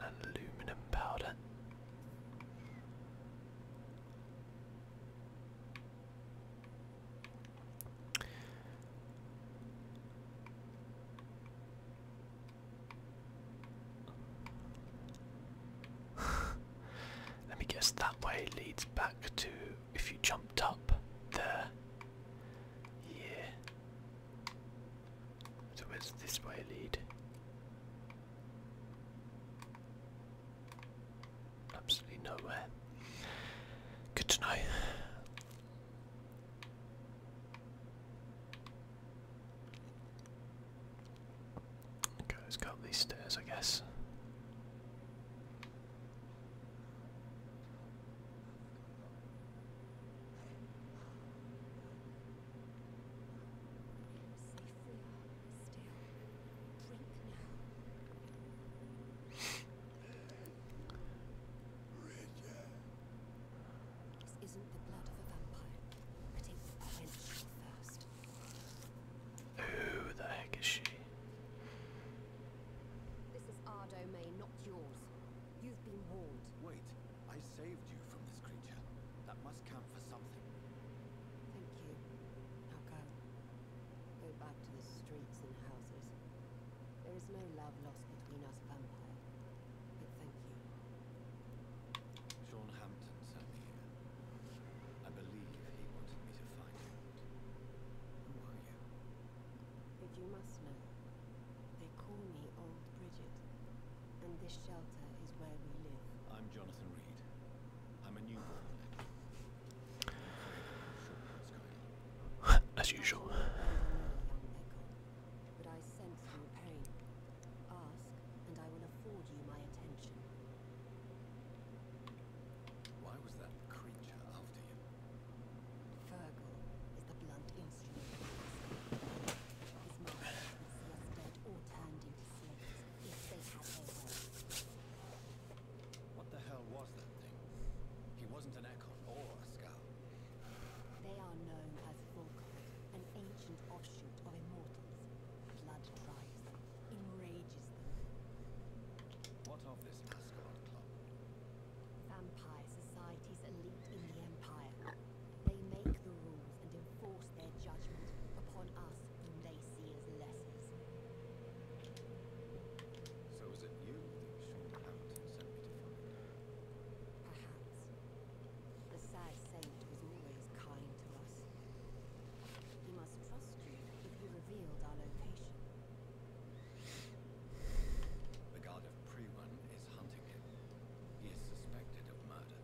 And aluminum powder. Let me guess that way leads back to if you jumped up there. Yeah. So where's this way lead? Absolutely nowhere. Good to know. Okay, let's go up these stairs, I guess. This isn't the blood of a vampire, but it quench your thirst. Who the heck is she? This is our domain, not yours. You've been warned. Wait, I saved you from this creature. That must count for something. Thank you. Now go. Go back to the streets and houses. There is no love lost between us, vampire. But thank you. Sean Hampton sent me here. I believe he wanted me to find you. Who are you? But you must know, they call me Old Bridget, and this shelter is where we live. I'm Jonathan Reed. I'm a newborn. As usual. Ask, and I will afford you my attention. Why was that creature after you? Fergal is the blunt instrument His master can see us dead or turned slaves, What the hell was that thing? He wasn't an Ekon or a Skull. They are known as Volkov, an ancient offshoot of immortals. Blood cries, them. What of this Asgard Club? Vampire society's elite in the Empire. They make the rules and enforce their judgment upon us when they see as lessers. So is it you short inhabitant sent Perhaps. The sad saint was always kind to us. He must trust you if he revealed our location. The guard of Prewan is hunting him. He is suspected of murder.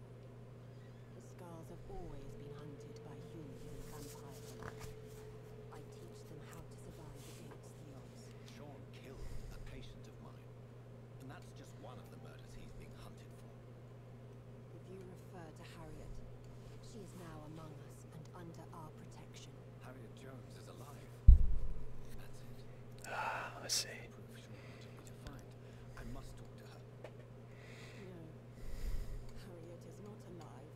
The Skulls have always been hunted by humans and vampires. I teach them how to survive against the odds. Sean killed a patient of mine. And that's just one of the murders he's being hunted for. If you refer to Harriet, she is now among us and under our protection. Harriet Jones is alive. That's it. Ah, I see. I must talk to her. No, Harriet is not alive,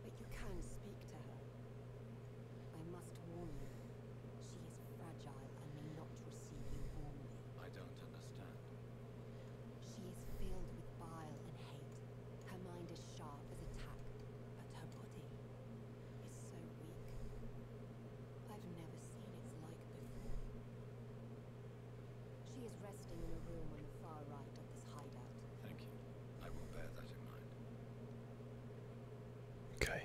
but you can speak to her. I must warn you, she is fragile and may not receive you warmly. I don't understand. She is filled with bile and hate. Her mind is sharp as a tack, but her body is so weak. I've never seen it like before. She is resting in a room on the far right of this hideout. Thank you. I will bear that in mind. Okay.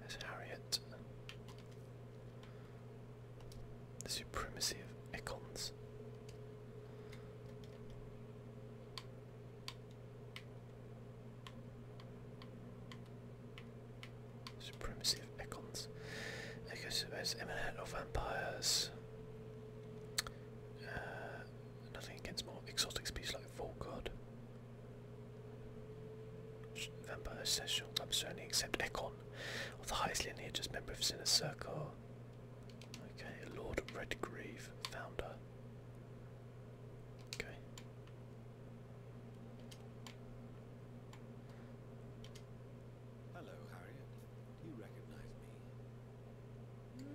There's Harriet. The supremacy of icons. Supremacy of icons. Echoes the most of vampires. Uh, nothing against more exotic species like Volgod. Vampire Session I'm certainly except Econ, of the highest lineage just member of Sinner Circle. Okay, Lord Redgrave, founder. Okay. Hello, Harriet. Do You recognize me? Mm, yes,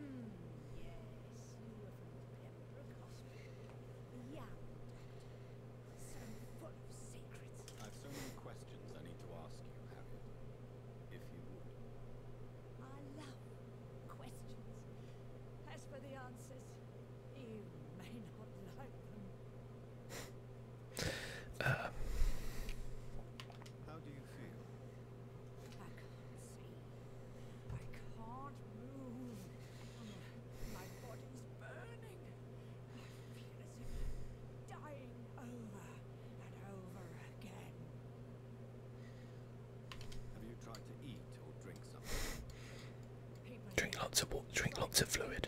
you were from of secrets. I've so many questions I need to ask you, Harriet. If you would. I love questions. As for the answers, you may not like them. How do you feel? I can't see. I can't move. My body's burning. I feel as if dying over and over again. Have you tried to eat or drink something? drink lots of water. Drink lots of fluid.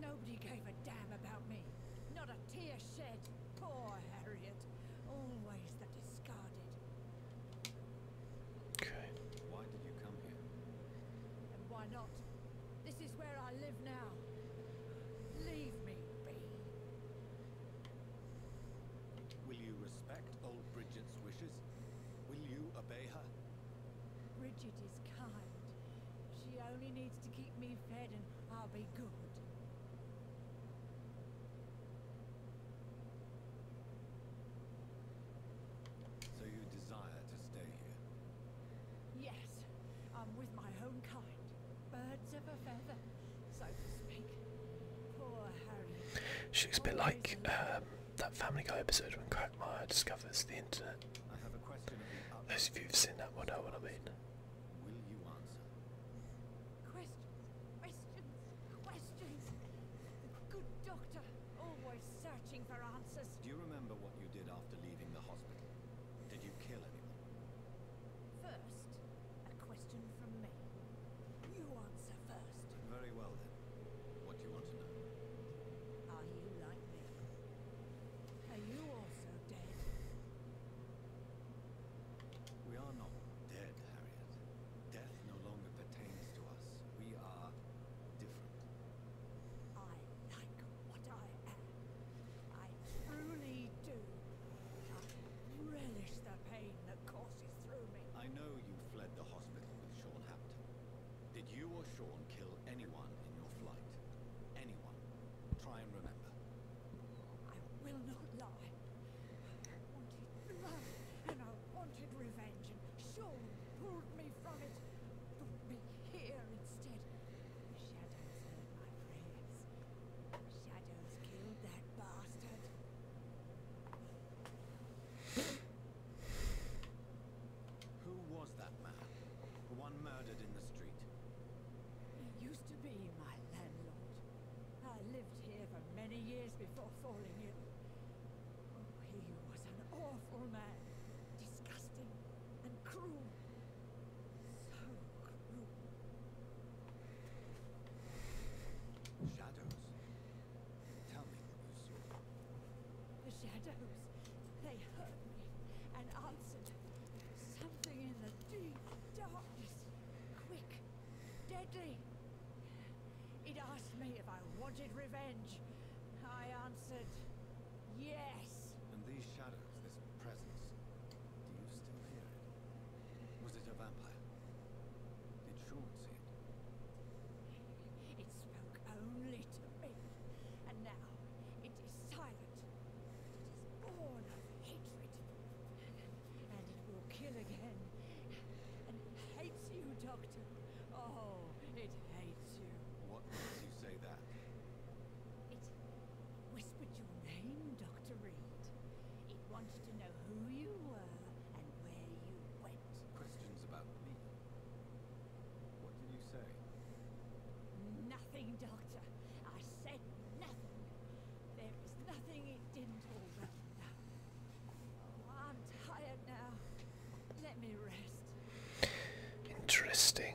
Nobody gave a damn about me. Not a tear shed. Poor Harriet. Always the discarded. Okay. Why did you come here? And why not? This is where I live now. Leave me be. Will you respect old Bridget's wishes? Will you obey her? Bridget is kind. She only needs to keep me fed and I'll be good. So you desire to stay here? Yes. I'm with my own kind. Birds of a feather, so to speak. Poor Harry. She a bit like um, that Family Guy episode when Quagmire discovers the internet. I have a question Those of you who've seen that will know what I mean. Will you answer? Questions, questions, questions. good doctor, always searching for answers. Do you remember what you did after leaving the hospital? Did you kill anyone? First, a question from me. You answer first. Very well then. What do you want to know? Are you like me? Are you also dead? We are not dead, Harriet. Death no longer pertains to us. We are different. I like what I am. I truly do. I relish the pain that courses through me. I know you fled the hospital with Sean Hampton. Did you or Sean kill anyone in your flight? Anyone? Try and remember. I will not lie. I wanted blood, and I wanted revenge, and Sean pulled me from it. Brought me here instead. shadows heard my prayers. shadows killed that bastard. Who was that man? The one murdered in the street. He used to be my landlord. I lived here for many years before falling ill. Oh, he was an awful man. Disgusting and cruel. So cruel. Shadows. Tell me, The shadows, they heard me and answered. Something in the deep darkness. Quick, deadly. It asked me if I wanted revenge. I answered, yes. And these shadows, this presence, do you still hear Was it a vampire? Did see? it. spoke only to me, and now it is silent. But It is born of hatred, and it will kill again. And hates you, Doctor. Oh, it hates you. What makes you say that? It whispered your name, Dr. Reed. It wanted to know who you were and where you went. Questions about me? What did you say? Nothing, Doctor. I said nothing. There is nothing it didn't already know. Oh, I'm tired now. Let me rest. Interesting.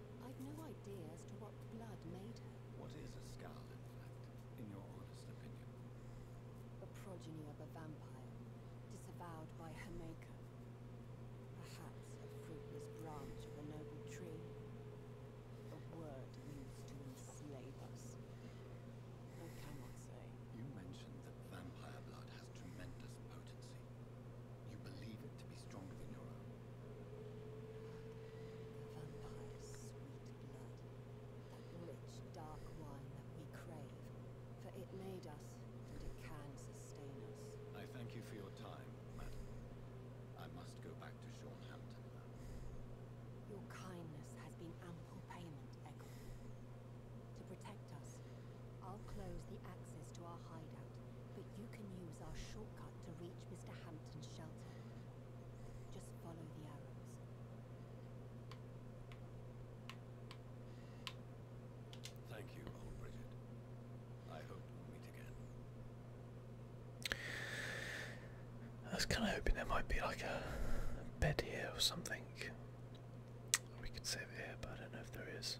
I'd no idea as to what blood made her. What is a scowl, in fact, in your honest opinion? The progeny of a vampire, disavowed by her maker. Perhaps a fruitless branch of a noble tree. A word used to enslave us. I cannot say. You mentioned that vampire blood has tremendous potency. You believe it to be stronger than your own. vampire's sweet blood, that rich, dark wine that we crave, for it made us, and it can sustain us. I thank you for your time, madam. I must go back to Seanhampton Your kindness has been ample payment, To protect us, I'll close the access to our hideout, but you can use our shortcut to reach Mr. Hampton's shelter. Just follow the arrows. Thank you, old Bridget. I hope we meet again. I was kind of hoping there might be like a bed here or something. We could save it here, but I don't know if there is.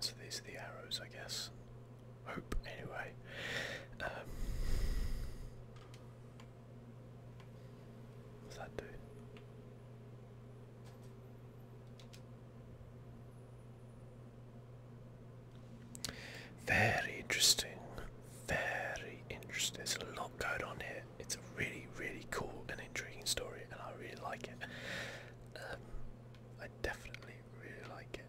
So these are the arrows, I guess. Hope, anyway. Um, what's that do? Very interesting. Very interesting. There's a lot going on here. It's a really, really cool and intriguing story, and I really like it. Um, I definitely really like it.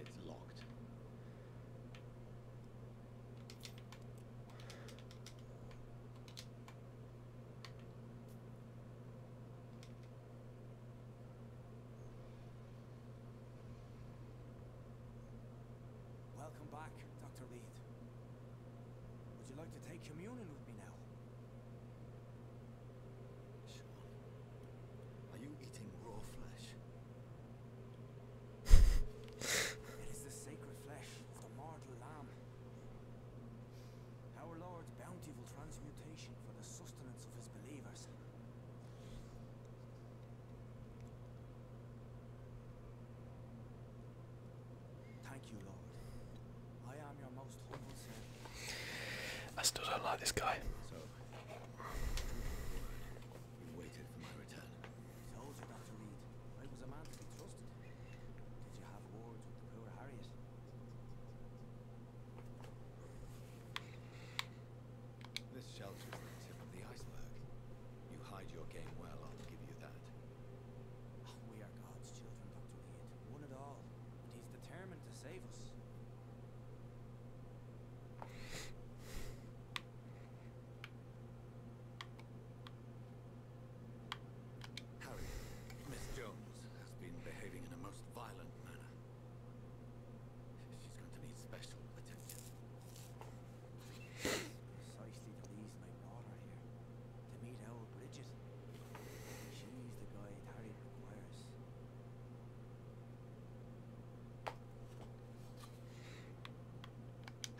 It's locked. Welcome back, Dr. Reed. Would you like to take communion with me now? Sean, are you eating raw flesh? it is the sacred flesh the martyr lamb. Our Lord's bountiful transmutation for the sustenance of his believers. Thank you, Lord. I am your most humble servant. I still don't like this guy. This shelter is the tip of the iceberg. You hide your game well, I'll give you that. we are God's children, Dr. Wade. One and all. And he's determined to save us. Harry, Miss Jones has been behaving in a most violent manner. She's going to need special attention. Precisely the reason I brought here. To meet our Bridget. She's the guide Harry requires.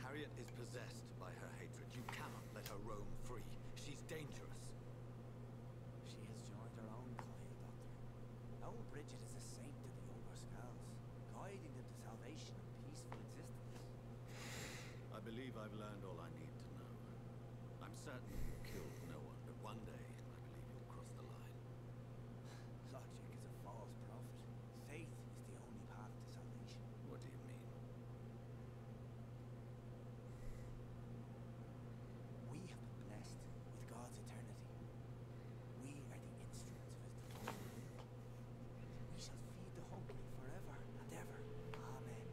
Harriet is possessed by her hatred. You cannot let her roam free. She's dangerous. She has joined her own kind, Doctor. Bridget is a saint to the Overskulls, guiding them to salvation and peaceful existence. I believe I've learned all I need to know. I'm certain you killed no one, but one day I believe you'll cross the line. Logic is a false prophet. Faith is the what do you mean? We have been blessed with God's eternity. We are the instruments of His divine We shall feed the hungry forever and ever. Amen.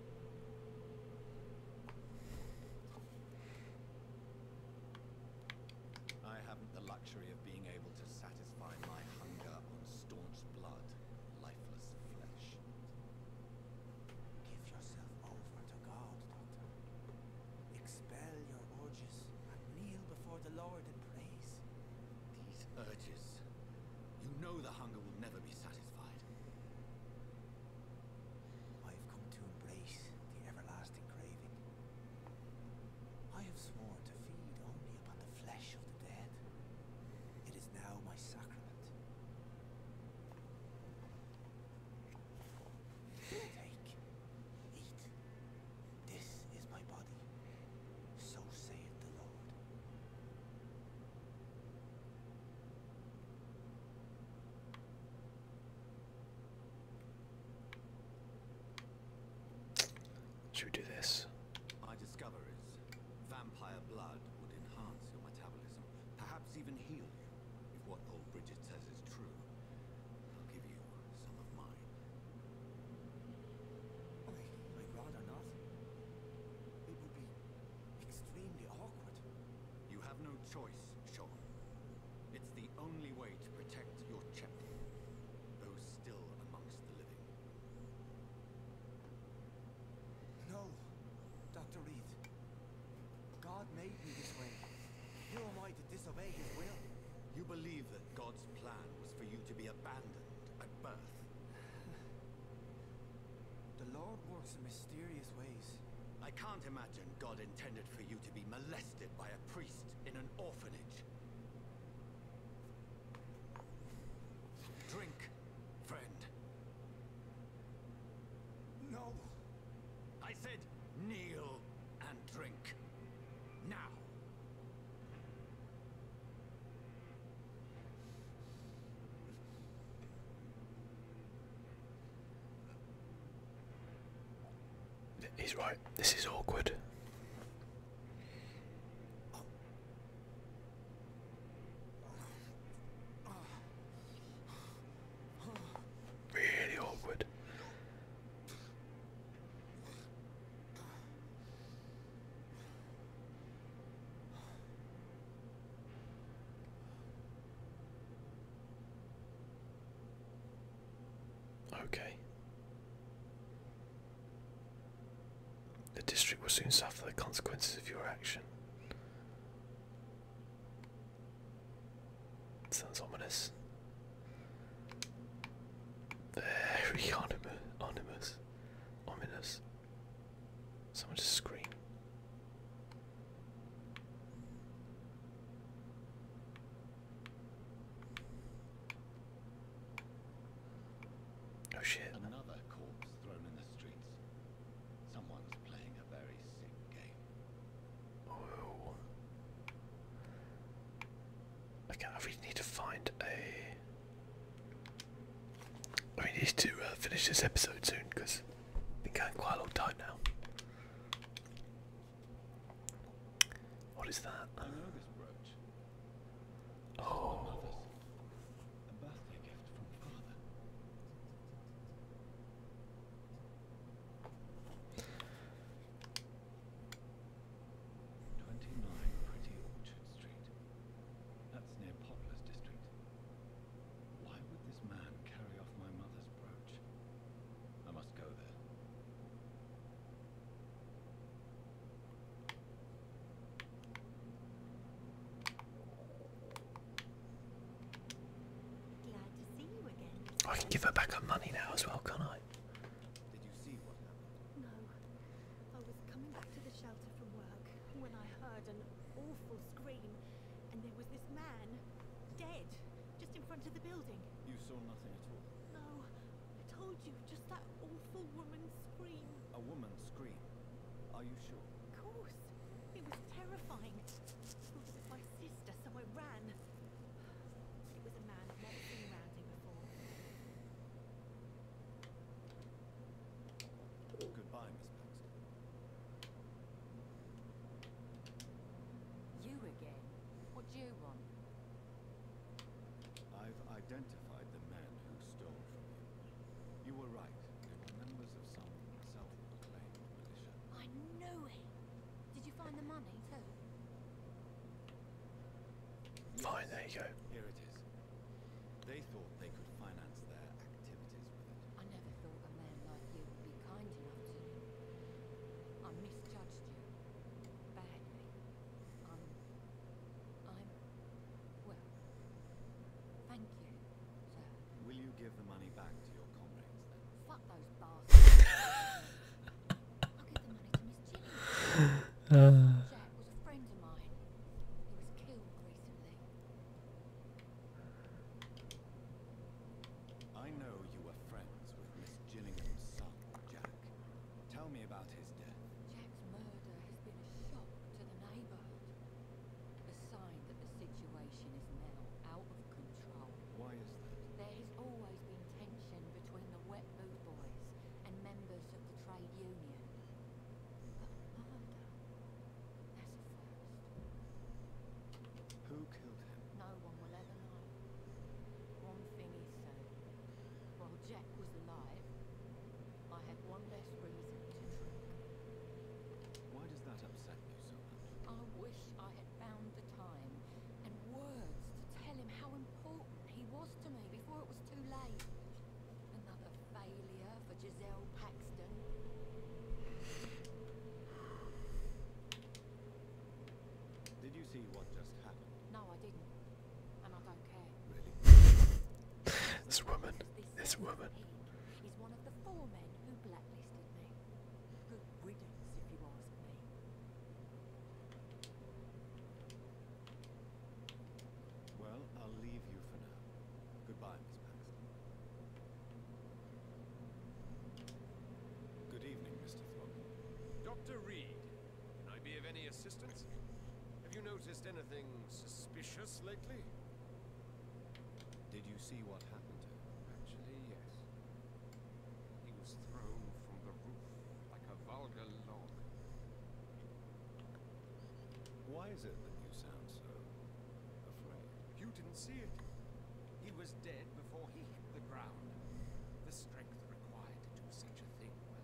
I haven't the luxury of being able to satisfy my hunger on staunch blood, lifeless flesh. Give yourself over to God, Doctor. Expel your urges and kneel before the Lord in praise. These urges. You know the hunger will never be satisfied. I've come to embrace the everlasting craving. I have sworn to feed only upon the flesh of the dead. It is now my sacrament. Take, eat. This is my body. So saith the Lord. Should we do this? My discoveries Vampire blood would enhance your metabolism, perhaps even heal you, if what old Bridget says is true. I'll give you some of mine. I, I'd rather not. It would be extremely awkward. You have no choice, Sean. It's the only way to protect your chapter, though still amongst the living. No, Dr. Reed. God made me this way. Who am I to disobey his will? You believe that God's plan was for you to be abandoned at birth? the Lord works in mysterious ways. I can't imagine God intended for you to be molested by a priest in an orphanage. Drink, friend. No. I said kneel and drink. Now. He's right. This is awkward. Really awkward. Okay. The district will soon suffer the consequences of your action. Sounds ominous. Very ominous. Ominous. Someone just scream. Oh shit. Someone's playing a very sick game. Oh. I really need to find a. We need to uh, finish this episode soon because been going quite a long time now. What is that? Twenty-nine Pretty Orchard Street. That's near Poplar's district. Why would this man carry off my mother's brooch? I must go there. I can give her back her money now as well, can I? Did you see what happened? No. I was coming back to the shelter from work when I heard an awful scream and there was this man dead just in front of the building. You saw nothing at all? No. I told you, just that awful woman's scream. A woman screamed. Are you sure? Of course. It was terrifying. it was my sister, so I ran. It was a man I've never seen around before. Goodbye, Miss Paxton. You again? What do you want? I've identified the man who stole you were right. They were members of some self-proclaimed militia. I know him. Did you find the money, too? Fine, there you go. Here it is. They thought they could finance their activities I never thought a man like you would be kind enough to you. I misjudged you. Badly. I'm well, thank you, sir. Will you give the money back to your comrades then? Fuck those Jack was a friend of mine. He was killed recently. I know you were friends with Miss Gillingham's son, Jack. Tell me about his death. Jack's murder has been a shock to the neighborhood. A sign that the situation is now out of control. Why is There has always been tension between the wet boat boys and members of the trade union. But murder? That's a first. Who killed him? No one will ever know. One thing is certain. While Jack was alive, why does that upset you so much? I wish I had found the time and words to tell him how important he was to me before it was too late. Another failure for Giselle Paxton. Did you see what just happened? No, I did not this woman. This woman. Good Well, I'll leave you for now. Goodbye, Miss Baxter. Good evening, Mr. Dr. Reed, can I be of any assistance? Have you noticed any anything suspicious lately? Did you see what happened to him? Actually, yes. He was thrown from the roof like a vulgar log. Why is it that you sound so afraid? You didn't see it. He was dead before he hit the ground. The strength required to do such a thing, well,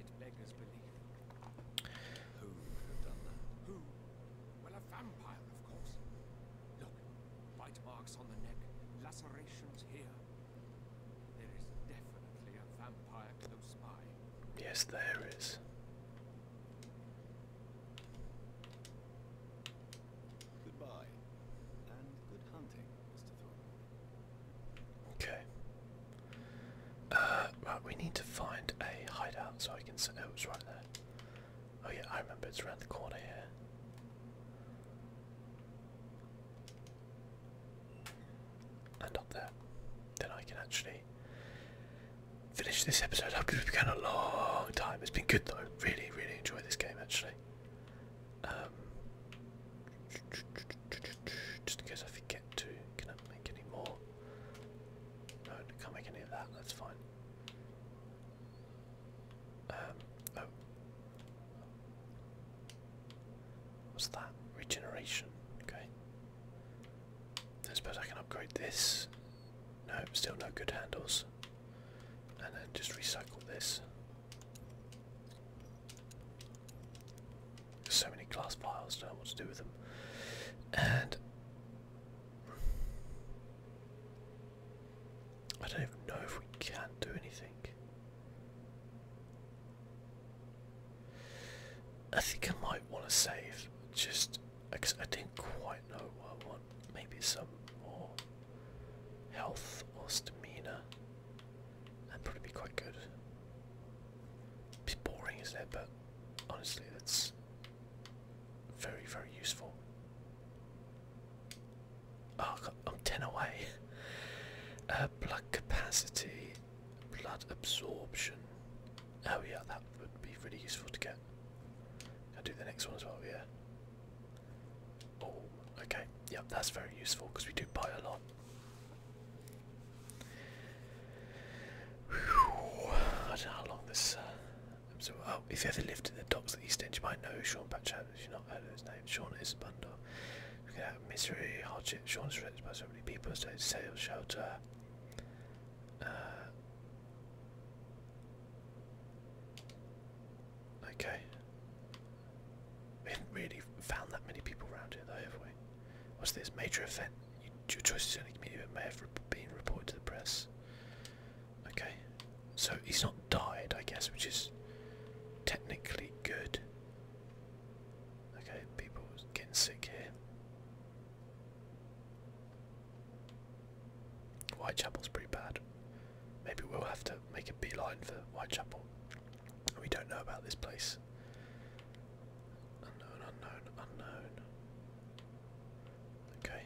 it beggars belief. Who could have done that? Who? Well, a vampire, of course. Look, bite marks on the neck, lacerations here. There is definitely a vampire close by. Yes, there is. Goodbye, and good hunting, Mr. Thorne. Okay. Uh, right, we need to find a hideout so I can sit. Oh, it's right there. Oh yeah, I remember it's around the corner here. And up there. Then I can actually finish this episode up have been going a long time. It's been good though. Really, really enjoy this game actually. Um, just in case I forget to, can I make any more? can't make any of that, that's fine. Um, oh. What's that? Regeneration, okay. I suppose I can upgrade this. No, still no good handles. And then just recycle this. There's so many glass vials, don't know what to do with them. And I don't even know if we can do anything. I think I might want to save just I didn't quite know what I want. Maybe some more health or stamina. that probably be quite good. It's boring, isn't it? But honestly, that's very, very useful. Oh, I'm 10 away. Uh, blood capacity, blood absorption. Oh, yeah, that would be really useful to get. I'll do the next one as well, yeah. Oh, okay. Yep, that's very useful because we do buy a lot. I don't know how long this. Uh, oh, if you ever lived in the docks at East End, you might know Sean Patcham. you've not heard of his name, Sean is bundle. Look at that misery, hardship. Sean is by so many people. So it's sales, shelter. Uh, okay. We haven't really found that many people around here, though, have we? What's this major event? Your choices in the community may have been reported to the press. Okay, so he's not died, I guess, which is technically good. Okay, people getting sick here. Whitechapel's pretty bad. Maybe we'll have to make a beeline for Whitechapel. We don't know about this place. Unknown, unknown, unknown. Okay.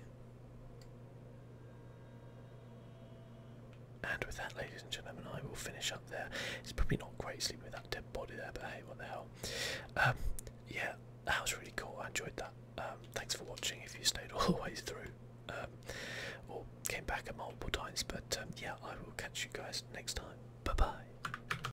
And with that, ladies and gentlemen, I will finish up there. It's probably not great sleeping with that dead body there, but hey, what the hell. Um, yeah, that was really cool. I enjoyed that. Um, thanks for watching if you stayed all the way through um, or came back at multiple times. But um, yeah, I will catch you guys next time. Bye bye.